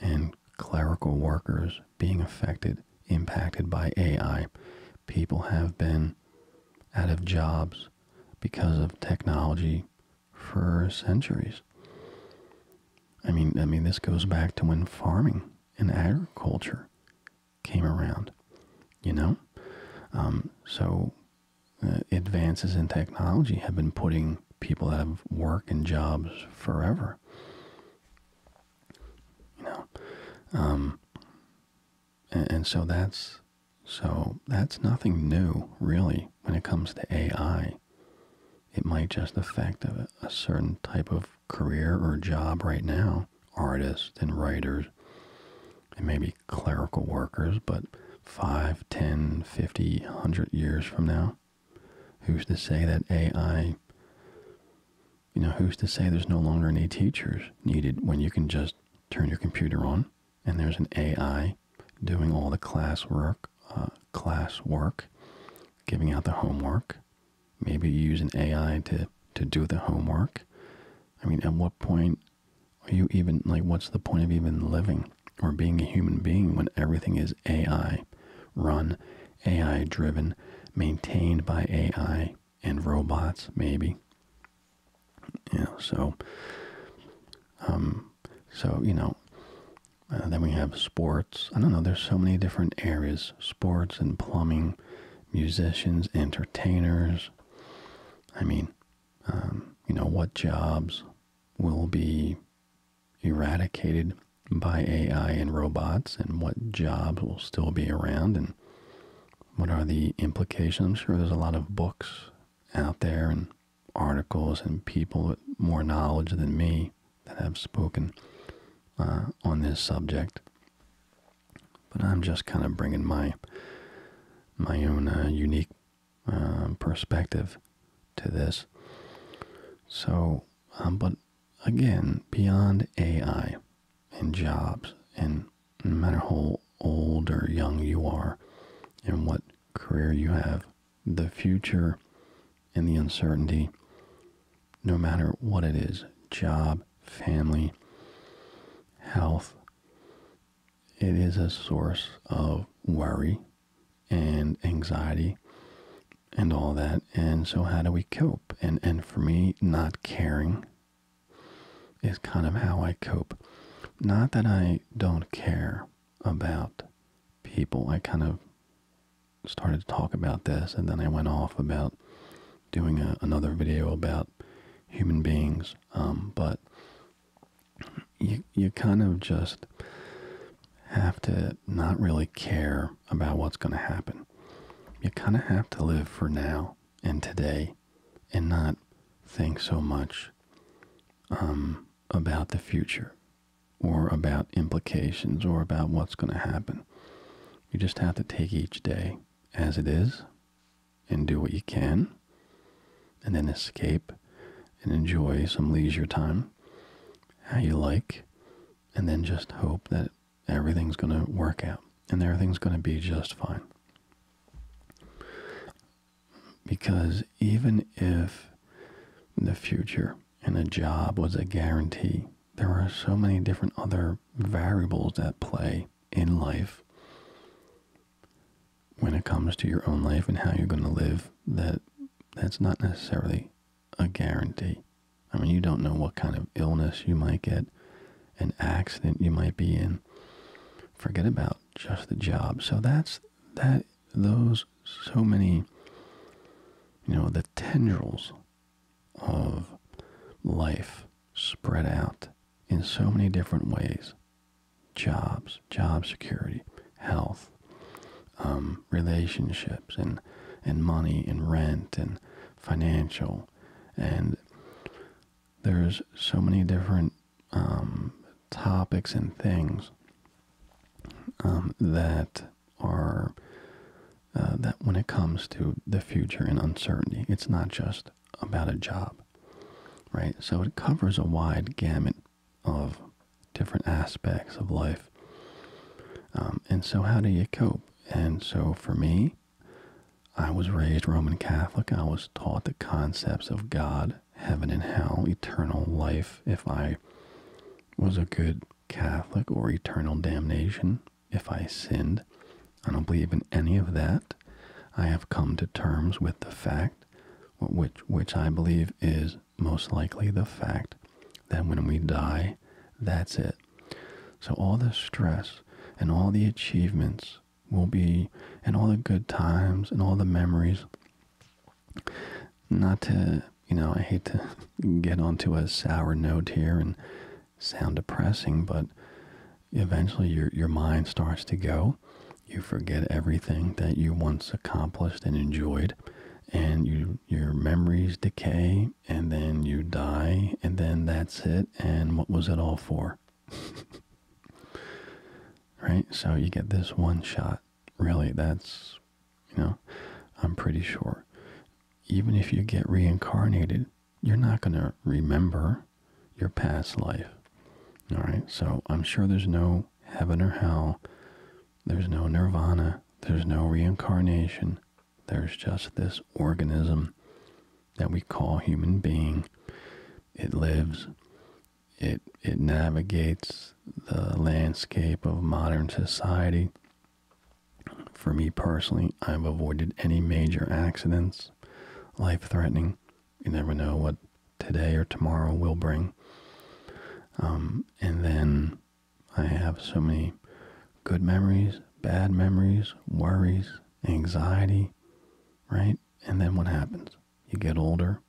and clerical workers being affected, impacted by AI. People have been out of jobs because of technology for centuries. I mean, I mean, this goes back to when farming and agriculture came around, you know? Um, so uh, advances in technology have been putting people out of work and jobs forever you know um, and, so that's so that's nothing new really when it comes to AI it might just affect a, certain type of career or job right now artists and writers and maybe clerical workers but five, ten, fifty, hundred years from now Who's to say that AI, you know, who's to say there's no longer any teachers needed when you can just turn your computer on and there's an AI doing all the class work, uh, class work, giving out the homework. Maybe you use an AI to, to do the homework. I mean, at what point are you even, like, what's the point of even living or being a human being when everything is AI run AI driven, maintained by AI and robots, maybe. You know, so, um, so you know, uh, then we have sports. I don't know. There's so many different areas: sports and plumbing, musicians, entertainers. I mean, um, you know, what jobs will be eradicated by AI and robots and what jobs will still be around and what are the implications. I'm sure there's a lot of books out there and articles and people with more knowledge than me that have spoken uh, on this subject. But I'm just kind of bringing my my own uh, unique uh, perspective to this. So, um, but again beyond AI and jobs and no matter how old or young you are and what career you have, the future and the uncertainty, no matter what it is, job, family, health, it is a source of worry and anxiety and all that. And so, how do we cope? And and for me, not caring is kind of how I cope. Not that I don't care about people. I kind of started to talk about this, and then I went off about doing another video about human beings. Um, but you you kind of just have to not really care about what's going to happen you kind of have to live for now and today and not think so much um, about the future or about implications or about what's going to happen. You just have to take each day as it is and do what you can and then escape and enjoy some leisure time how you like and then just hope that everything's going to work out and everything's going to be just fine. Because even if the future and a job was a guarantee, there are so many different other variables that play in life when it comes to your own life and how you're going to live that that's not necessarily a guarantee. I mean, you don't know what kind of illness you might get, an accident you might be in. Forget about just the job. So that's that those so many you know the tendrils of life spread out in so many different ways jobs job security health um, relationships and and money and rent and financial, and there's so many different um, topics and things um, that are uh, that when it comes to the future and uncertainty, it's not just about a job, right? So it covers a wide gamut of different aspects of life. Um, and so, how do you cope? And so for me, I was raised Roman Catholic. I was taught the concepts of God, heaven and hell, eternal life if I was a good Catholic, or eternal damnation if I sinned. I don't believe in any of that. I have come to terms with the fact, which, which I believe is most likely the fact, that when we die, that's it. So all the stress and all the achievements will be, and all the good times and all the memories. Not to, you know, I hate to get onto a sour note here and sound depressing, but eventually your your mind starts to go. You forget everything that you once accomplished and enjoyed, and you your memories decay and then you die and then that's it and what was it all for right so you get this one shot really that's you know i'm pretty sure even if you get reincarnated you're not going to remember your past life all right so i'm sure there's no heaven or hell there's no nirvana there's no reincarnation there's just this organism that we call human being. It lives. It it navigates the landscape of modern society. For me personally, I've avoided any major accidents, life threatening. You never know what today or tomorrow will bring. Um, and then I have so many good memories, bad memories, worries, anxiety, right? And then what happens? You get older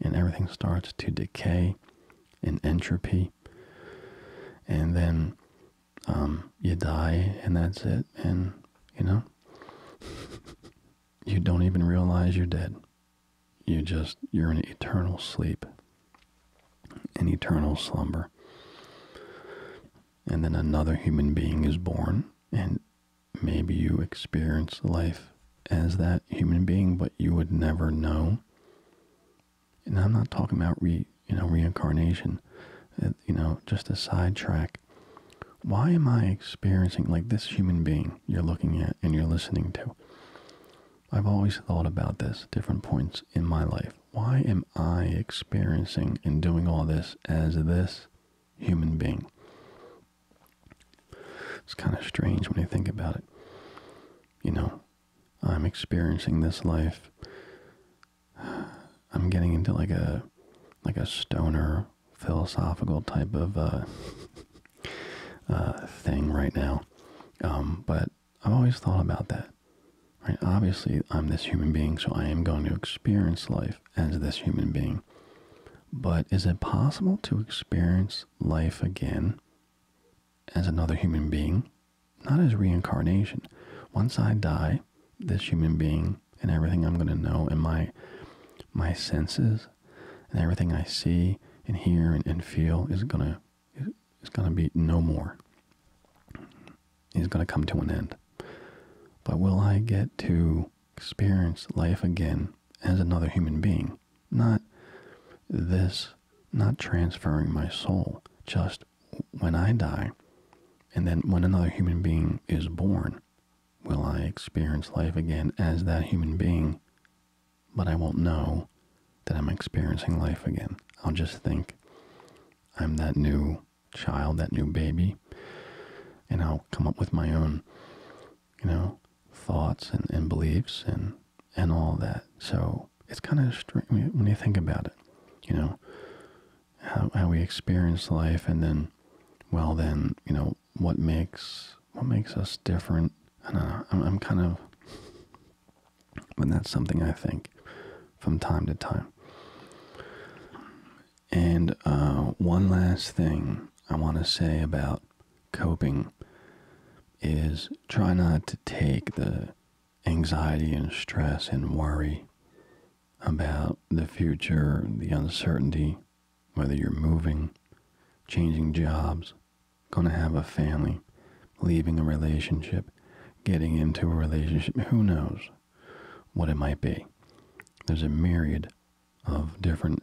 and everything starts to decay in entropy. And then um, you die and that's it. And, you know, you don't even realize you're dead. You just, you're in eternal sleep an eternal slumber. And then another human being is born, and maybe you experience life as that human being, but you would never know. And I'm not talking about you know reincarnation, uh, you know just a sidetrack. Why am I experiencing like this human being you're looking at and you're listening to? I've always thought about this different points in my life why am I experiencing and doing all this as this human being? It's kind of strange when you think about it. You know, I'm experiencing this life. I'm getting into like a like a stoner philosophical type of uh, uh thing right now. Um, but I've always thought about that. Right? Obviously, I'm this human being, so I am going to experience life as this human being. But is it possible to experience life again as another human being? Not as reincarnation. Once I die, this human being and everything I'm going to know in my my senses and everything I see and hear and, and feel is going to is going to be no more. Is going to come to an end. But will I get to experience life again as another human being? Not this, not transferring my soul, just when I die, and then when another human being is born, will I experience life again as that human being? But I won't know that I'm experiencing life again. I'll just think I'm that new child, that new baby, and I'll come up with my own, you know, thoughts and, and beliefs and and all that. So it's kind of strange when you think about it, you know, how, how we experience life, and then, well, then you know what makes what makes us different. I don't know. I'm, I'm kind of but that's something I think from time to time. And uh, one last thing I want to say about coping is try not to take the anxiety and stress and worry about the future, the uncertainty, whether you're moving, changing jobs, going to have a family, leaving a relationship, getting into a relationship, who knows? what it might be. There's a myriad of different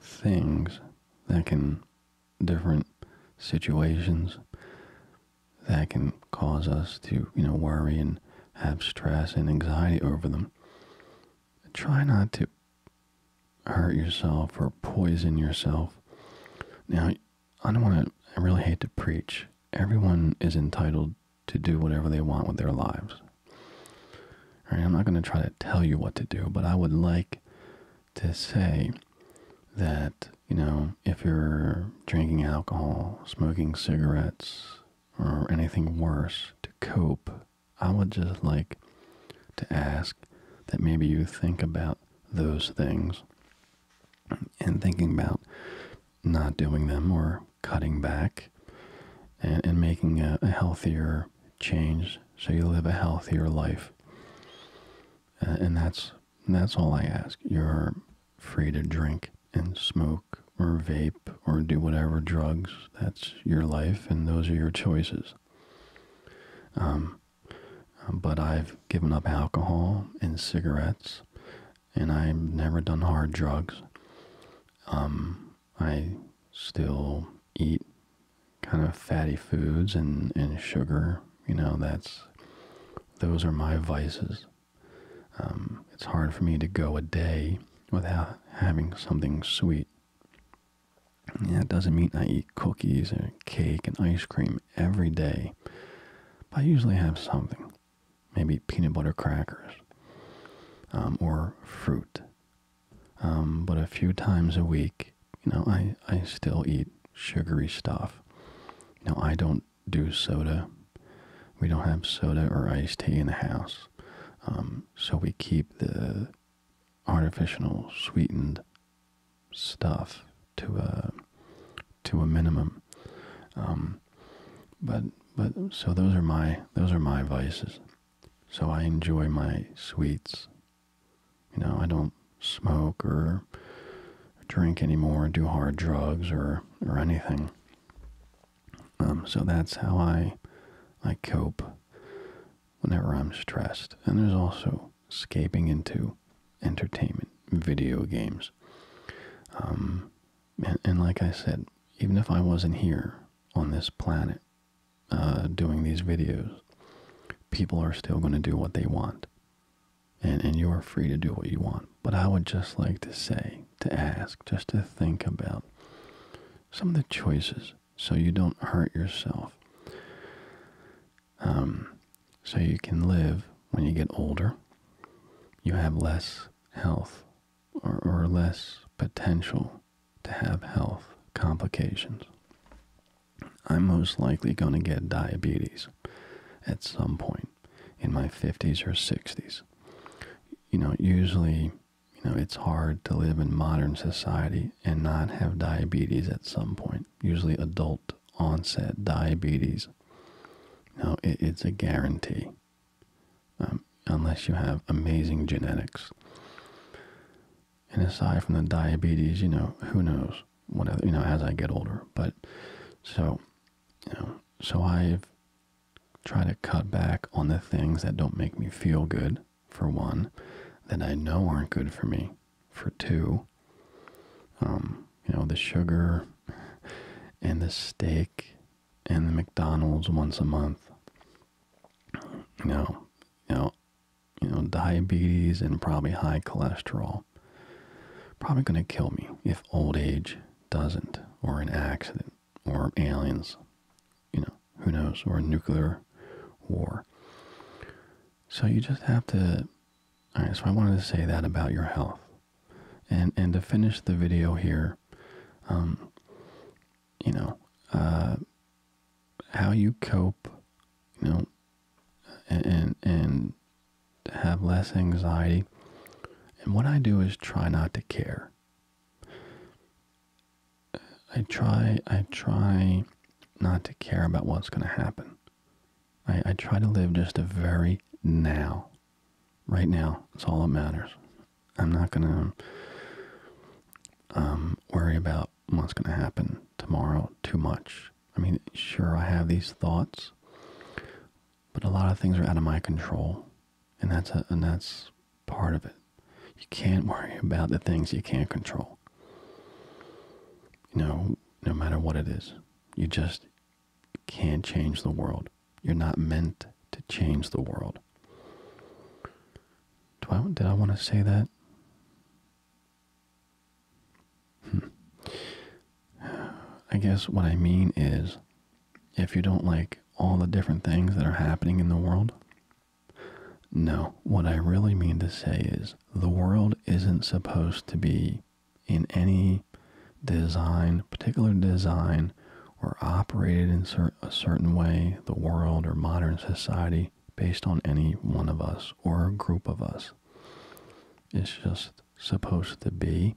things that can, different situations that can cause us to, you know, worry and have stress and anxiety over them. Try not to hurt yourself or poison yourself. Now, I don't want to, I really hate to preach. Everyone is entitled to do whatever they want with their lives. All right, I'm not going to try to tell you what to do, but I would like to say that, you know, if you're drinking alcohol, smoking cigarettes, or anything worse to cope, I would just like to ask that maybe you think about those things and thinking about not doing them or cutting back and, making a, healthier change so you live a healthier life. and that's that's all I ask. You're free to drink and smoke or vape or do whatever drugs. That's your life, and those are your choices. Um, but I've given up alcohol and cigarettes and I've never done hard drugs. Um, I still eat kind of fatty foods and, and sugar. You know, that's those are my vices. Um, it's hard for me to go a day without having something sweet. Yeah, it doesn't mean I eat cookies and cake and ice cream every day. But I usually have something maybe peanut butter crackers um, or fruit. Um, but a few times a week, you know, I, I still eat sugary stuff. Now I don't do soda. We don't have soda or iced tea in the house. Um, so we keep the artificial sweetened stuff to a uh, to a minimum. Um, but but so those are my those are my vices. So I enjoy my sweets. You know, I don't smoke or drink anymore, do hard drugs or or anything. Um, so that's how I I cope whenever I'm stressed. And there's also escaping into entertainment, video games. Um, and, like I said, even if I wasn't here on this planet uh, doing these videos, people are still going to do what they want, and and you are free to do what you want. But I would just like to say, to ask, just to think about some of the choices, so you don't hurt yourself. Um, so you can live when you get older, you have less health or, or less potential to have health complications. I'm most likely going to get diabetes at some point in my 50s or 60s. You know, usually, you know, it's hard to live in modern society and not have diabetes at some point. Usually adult onset diabetes now it's a guarantee. Um, unless you have amazing genetics. And aside from the diabetes, you know, who knows? Whatever, you know, as I get older. But so, you know, so I've tried to cut back on the things that don't make me feel good, for one, that I know aren't good for me, for two. Um, you know, the sugar and the steak and the McDonald's once a month. You know, you know, you know, diabetes and probably high cholesterol. Probably going to kill me if old age doesn't, or an accident, or aliens, you know, who knows, or a nuclear war. So you just have to. All right, so I wanted to say that about your health and and to finish the video here um, you know uh, how you cope you know and and, and have less anxiety and what i do is try not to care i try i try not to care about what's going to happen I, I try to live just a very now right now. That's all that matters. I'm not gonna um, worry about what's gonna happen tomorrow too much. I mean, sure, I have these thoughts, but a lot of things are out of my control, and that's and that's part of it. You can't worry about the things you can't control. You know, no matter what it is, you just you can't change the world. You're not meant to change the world. Do I, did I want to say that? Hmm. I guess what I mean is if you don't like all the different things that are happening in the world, no, what I really mean to say is the world isn't supposed to be in any design, particular design, or operated in a certain way, the world or modern society, based on any one of us or a group of us. is just supposed to be,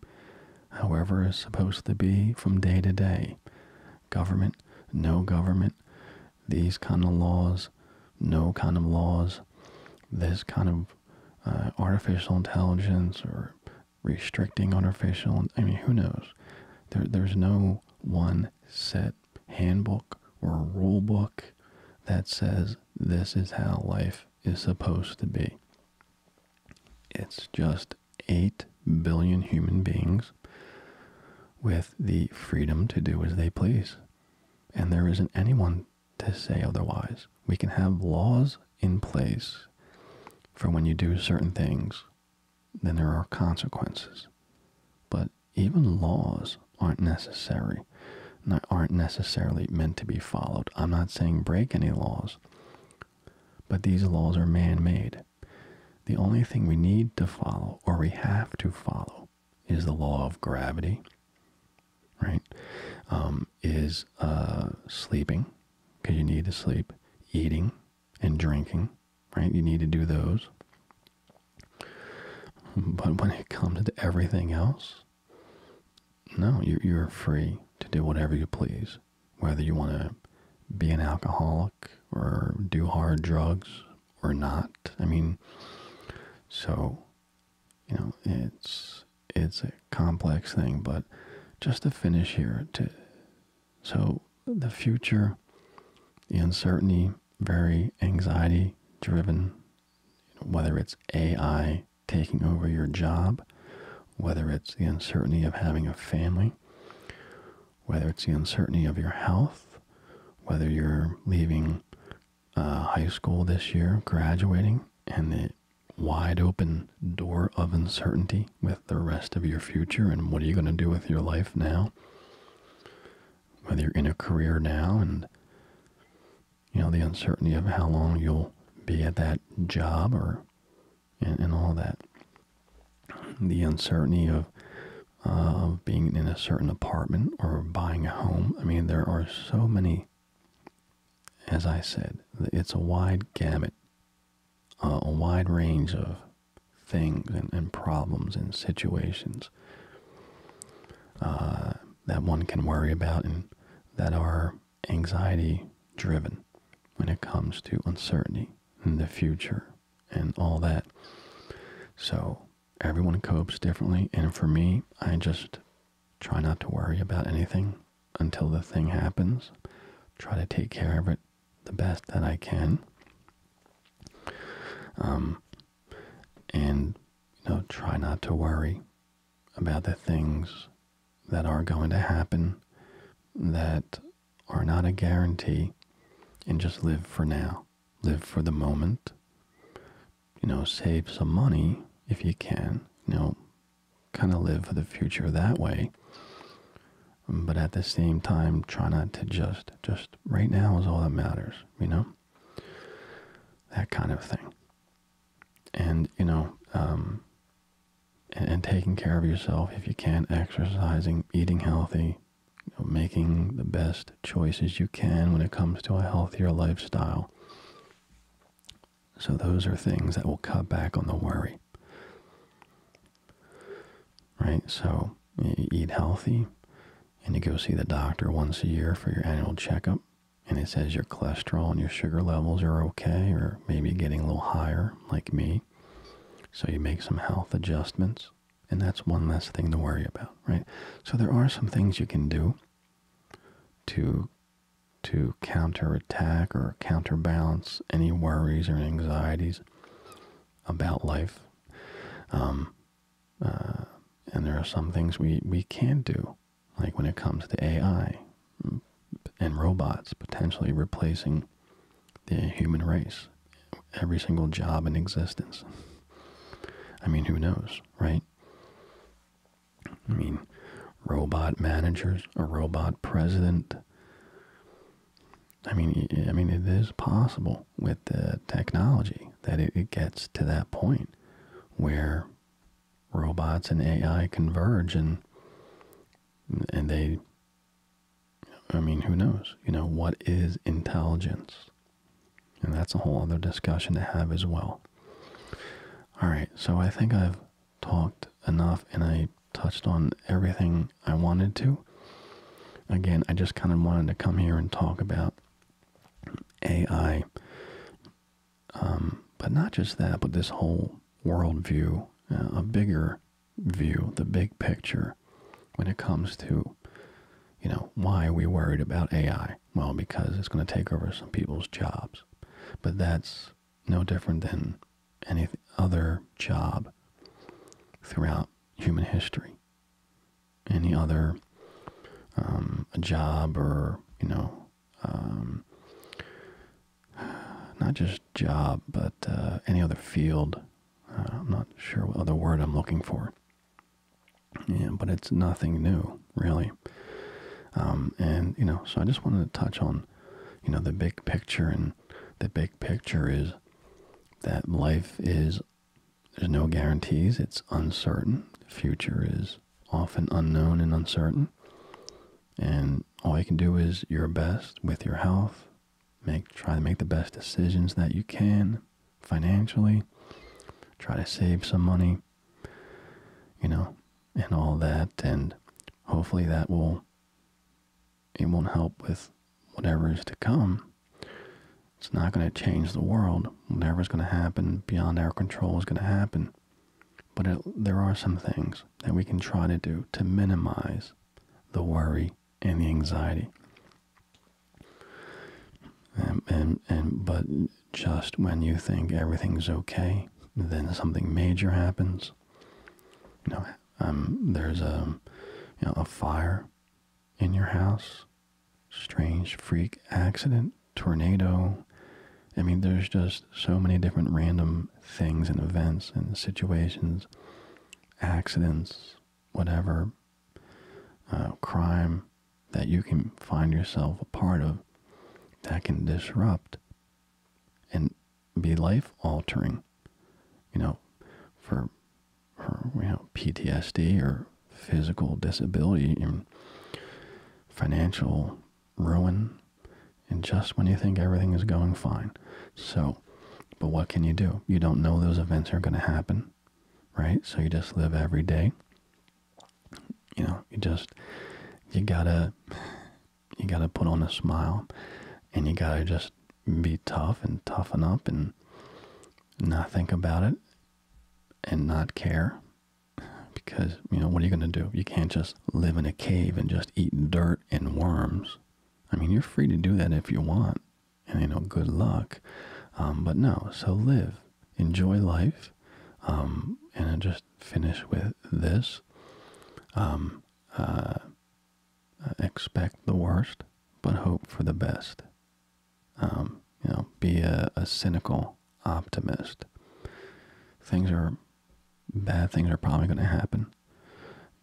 however, it's supposed to be from day to day. Government, no government, these kind of laws, no kind of laws, this kind of uh, artificial intelligence or restricting on our facial. I mean, who knows? There, there's no one set handbook or rule book that says this is how life is supposed to be. It's just 8 billion human beings with the freedom to do as they please. And there isn't anyone to say otherwise. We can have laws in place for when you do certain things, then there are consequences. But even laws aren't necessary, not, aren't necessarily meant to be followed. I'm not saying break any laws, but these laws are man-made. The only thing we need to follow, or we have to follow, is the law of gravity, right? Um, is uh, sleeping, because you need to sleep, eating, and drinking, right? You need to do those. But when it comes to everything else, no, you you're free to do whatever you please, whether you want to be an alcoholic or do hard drugs or not. I mean, so, you know, it's it's a complex thing, but just to finish here, to so the future, the uncertainty, very anxiety driven, whether it's AI taking over your job, whether it's the uncertainty of having a family, whether it's the uncertainty of your health, whether you're leaving uh, high school this year, graduating, and the wide open door of uncertainty with the rest of your future and what are you going to do with your life now whether you're in a career now and you know the uncertainty of how long you'll be at that job or and, all that the uncertainty of uh, of being in a certain apartment or buying a home i mean there are so many as i said it's a wide gamut uh, a wide range of things and, problems and situations uh, that one can worry about and that are anxiety driven when it comes to uncertainty in the future and all that. So everyone copes differently, and for me, I just try not to worry about anything until the thing happens. Try to take care of it the best that I can. Um, and, you know, try not to worry about the things that are going to happen that are not a guarantee and just live for now. Live for the moment. You know, save some money if you can. You know, kind of live for the future that way but at the same time try not to just just right now is all that matters you know that kind of thing and you know um, and, taking care of yourself if you can exercising eating healthy making the best choices you can when it comes to a healthier lifestyle so those are things that will cut back on the worry. Right? So you eat healthy and you go see the doctor once a year for your annual checkup and it says your cholesterol and your sugar levels are okay or maybe getting a little higher like me. So you make some health adjustments and that's one less thing to worry about, right? So there are some things you can do to to counterattack or counterbalance any worries or anxieties about life. Um, uh, and there are some things we, we can do, like when it comes to AI and robots potentially replacing the human race, every single job in existence. I mean, who knows, right? I mean, robot managers, a robot president, I mean, I mean, it is possible with the technology that it, it gets to that point where robots and AI converge, and and they. I mean, who knows? You know, what is intelligence? And that's a whole other discussion to have as well. All right, so I think I've talked enough and I touched on everything I wanted to. Again, I just kind of wanted to come here and talk about AI. Um, but not just that, but this whole worldview, uh, a bigger view, the big picture when it comes to, you know, why are we worried about AI? Well, because it's going to take over some people's jobs. But that's no different than any other job throughout human history. Any other um, job or, you know, um, not just job, but uh, any other field. Uh, I'm not sure what other word I'm looking for. Yeah, but it's nothing new, really. Um, and, you know, so I just wanted to touch on, you know, the big picture and the big picture is that life is there's no guarantees, it's uncertain. The future is often unknown and uncertain. And all you can do is your best with your health. Make try to make the best decisions that you can financially. Try to save some money, you know, and all that and hopefully that will it won't help with whatever is to come. It's not going to change the world. Whatever's going to happen beyond our control is going to happen. But there are some things that we can try to do to minimize the worry and the anxiety. And, and, but just when you think everything's okay, then something major happens. You um, there's a, you know, a fire in your house, strange freak accident, tornado. I mean, there's just so many different random things and events and situations, accidents, whatever, uh, crime that you can find yourself a part of that can disrupt and be life altering, you know, for, for you know PTSD or physical disability financial ruin, and just when you think everything is going fine. So, but what can you do? You don't know those events are going to happen, right? So you just live every day. You know, you just you gotta you got to put on a smile and you got to just be tough and toughen up and not think about it and not care because you know what are you going to do you can't just live in a cave and just eat dirt and worms i mean you're free to do that if you want and you know good luck um, but no so live enjoy life um, and just finish with this um, uh, uh, expect the worst, but hope for the best. Um, you know, be a, a cynical optimist. Things are bad. Things are probably going to happen.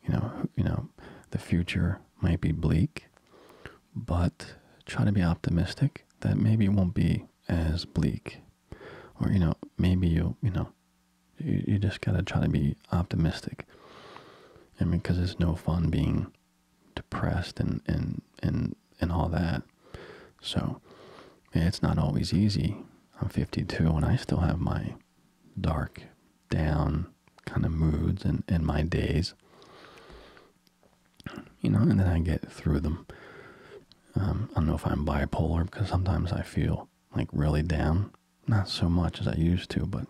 You know, you know, the future might be bleak, but try to be optimistic that maybe it won't be as bleak, or you know, maybe you'll you know you, just gotta try to be optimistic. I mean, because it's no fun being depressed and and and and all that. So it's not always easy. I'm 52 and I still have my dark, down kind of moods and and my days. You know, and then I get through them. Um, I don't know if I'm bipolar because sometimes I feel like really down not so much as I used to, but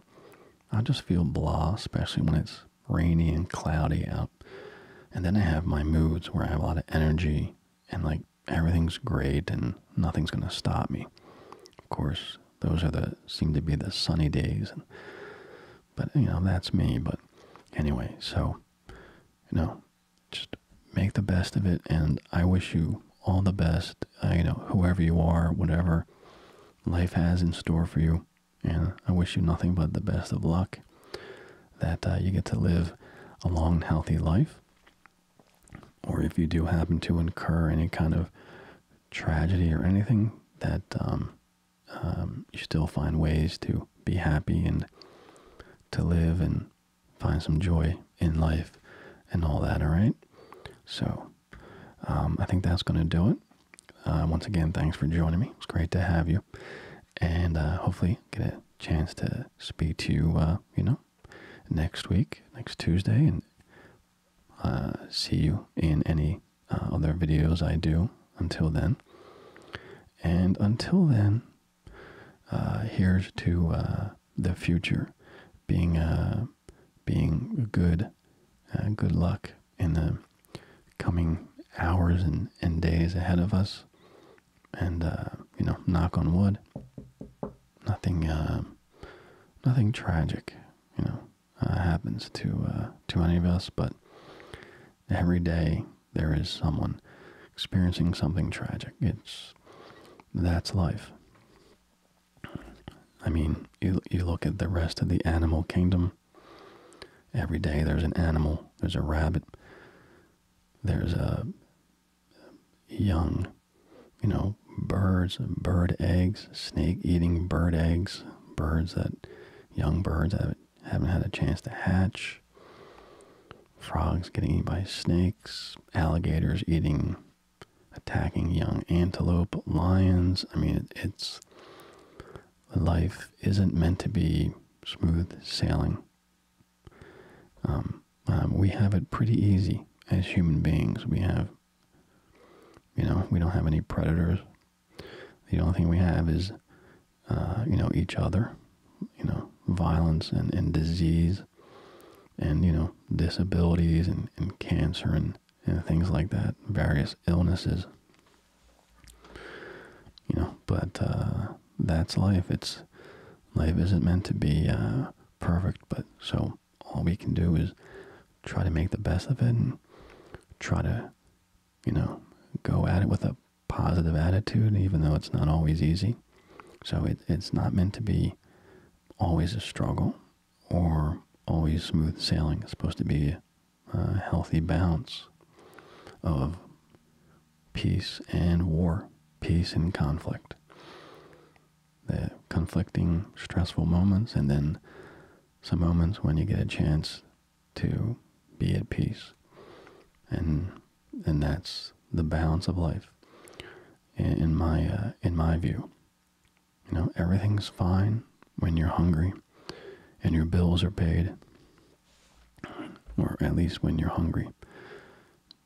I just feel blah, especially when it's rainy and cloudy out. And then I have my moods where I have a lot of energy and like everything's great and nothing's going to stop me. Of course, those are the seem to be the sunny days. but you know, that's me. But anyway, so you know, just make the best of it. And I wish you all the best. Uh, you know, whoever you are, whatever life has in store for you, and I wish you nothing but the best of luck. That uh, you get to live a long, healthy life, or if you do happen to incur any kind of tragedy or anything, that um, um, you still find ways to be happy and to live and find some joy in life and all that. All right, so um, I think that's going to do it. Uh, once again, thanks for joining me. It's great to have you, and uh, hopefully get a chance to speak to you. Uh, you know, next week, next Tuesday, and see you in any other videos I do. Until then, and until then, here's to the future, being a, uh, being good, uh, good luck in the coming hours and, and days ahead of us. And uh, you know, knock on wood, nothing, nothing tragic, you know, happens to uh, to any of us. But every day there is someone experiencing something tragic. It's that's life. I mean, you you look at the rest of the animal kingdom. Every day there's an animal. There's a rabbit. There's a young, you know, birds, bird eggs, snake eating bird eggs, birds that young birds that haven't had a chance to hatch. Frogs getting eaten by snakes, alligators eating attacking young antelope, lions. I mean, it's life isn't meant to be smooth sailing. Um, um, we have it pretty easy as human beings. We have, you know, we don't have any predators. The only thing we have is, uh, you know, each other, you know, violence and, and disease and you know disabilities and, and cancer and, and things like that, various illnesses. You know, but uh, that's life. It's life isn't meant to be uh, perfect, but so all we can do is try to make the best of it and try to, you know, go at it with a positive attitude, even though it's not always easy. So it, it's not meant to be always a struggle or always smooth sailing. It's supposed to be a healthy balance of peace and war, peace and conflict. The conflicting, stressful moments, and then some moments when you get a chance to be at peace. And and that's the balance of life in my uh, in my view. You know, everything's fine when you're hungry and your bills are paid, or at least when you're hungry.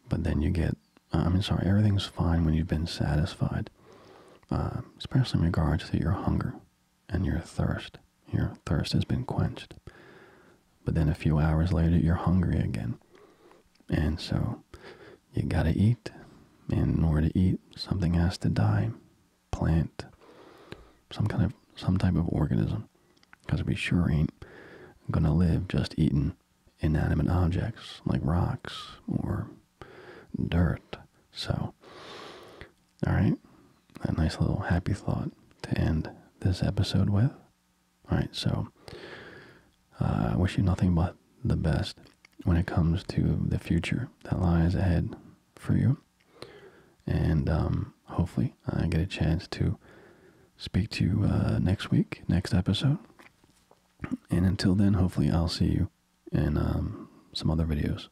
But then you get, uh, i mean, sorry, everything's fine when you've been satisfied, uh, especially in regards to your hunger and your thirst. Your thirst has been quenched. But then a few hours later, you're hungry again. And so you gotta eat. And in order to eat, something has to die. Plant, some kind of some type of organism. Because we sure ain't gonna live just eating inanimate objects like rocks or dirt. So Alright. A nice little happy thought to end this episode with. Alright, so uh, I wish you nothing but the best when it comes to the future that lies ahead for you. And um, hopefully, I get a chance to speak to you uh, next week, next episode. And until then, hopefully, I'll see you in um, some other videos.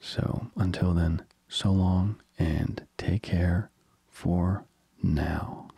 So until then, so long and take care for now.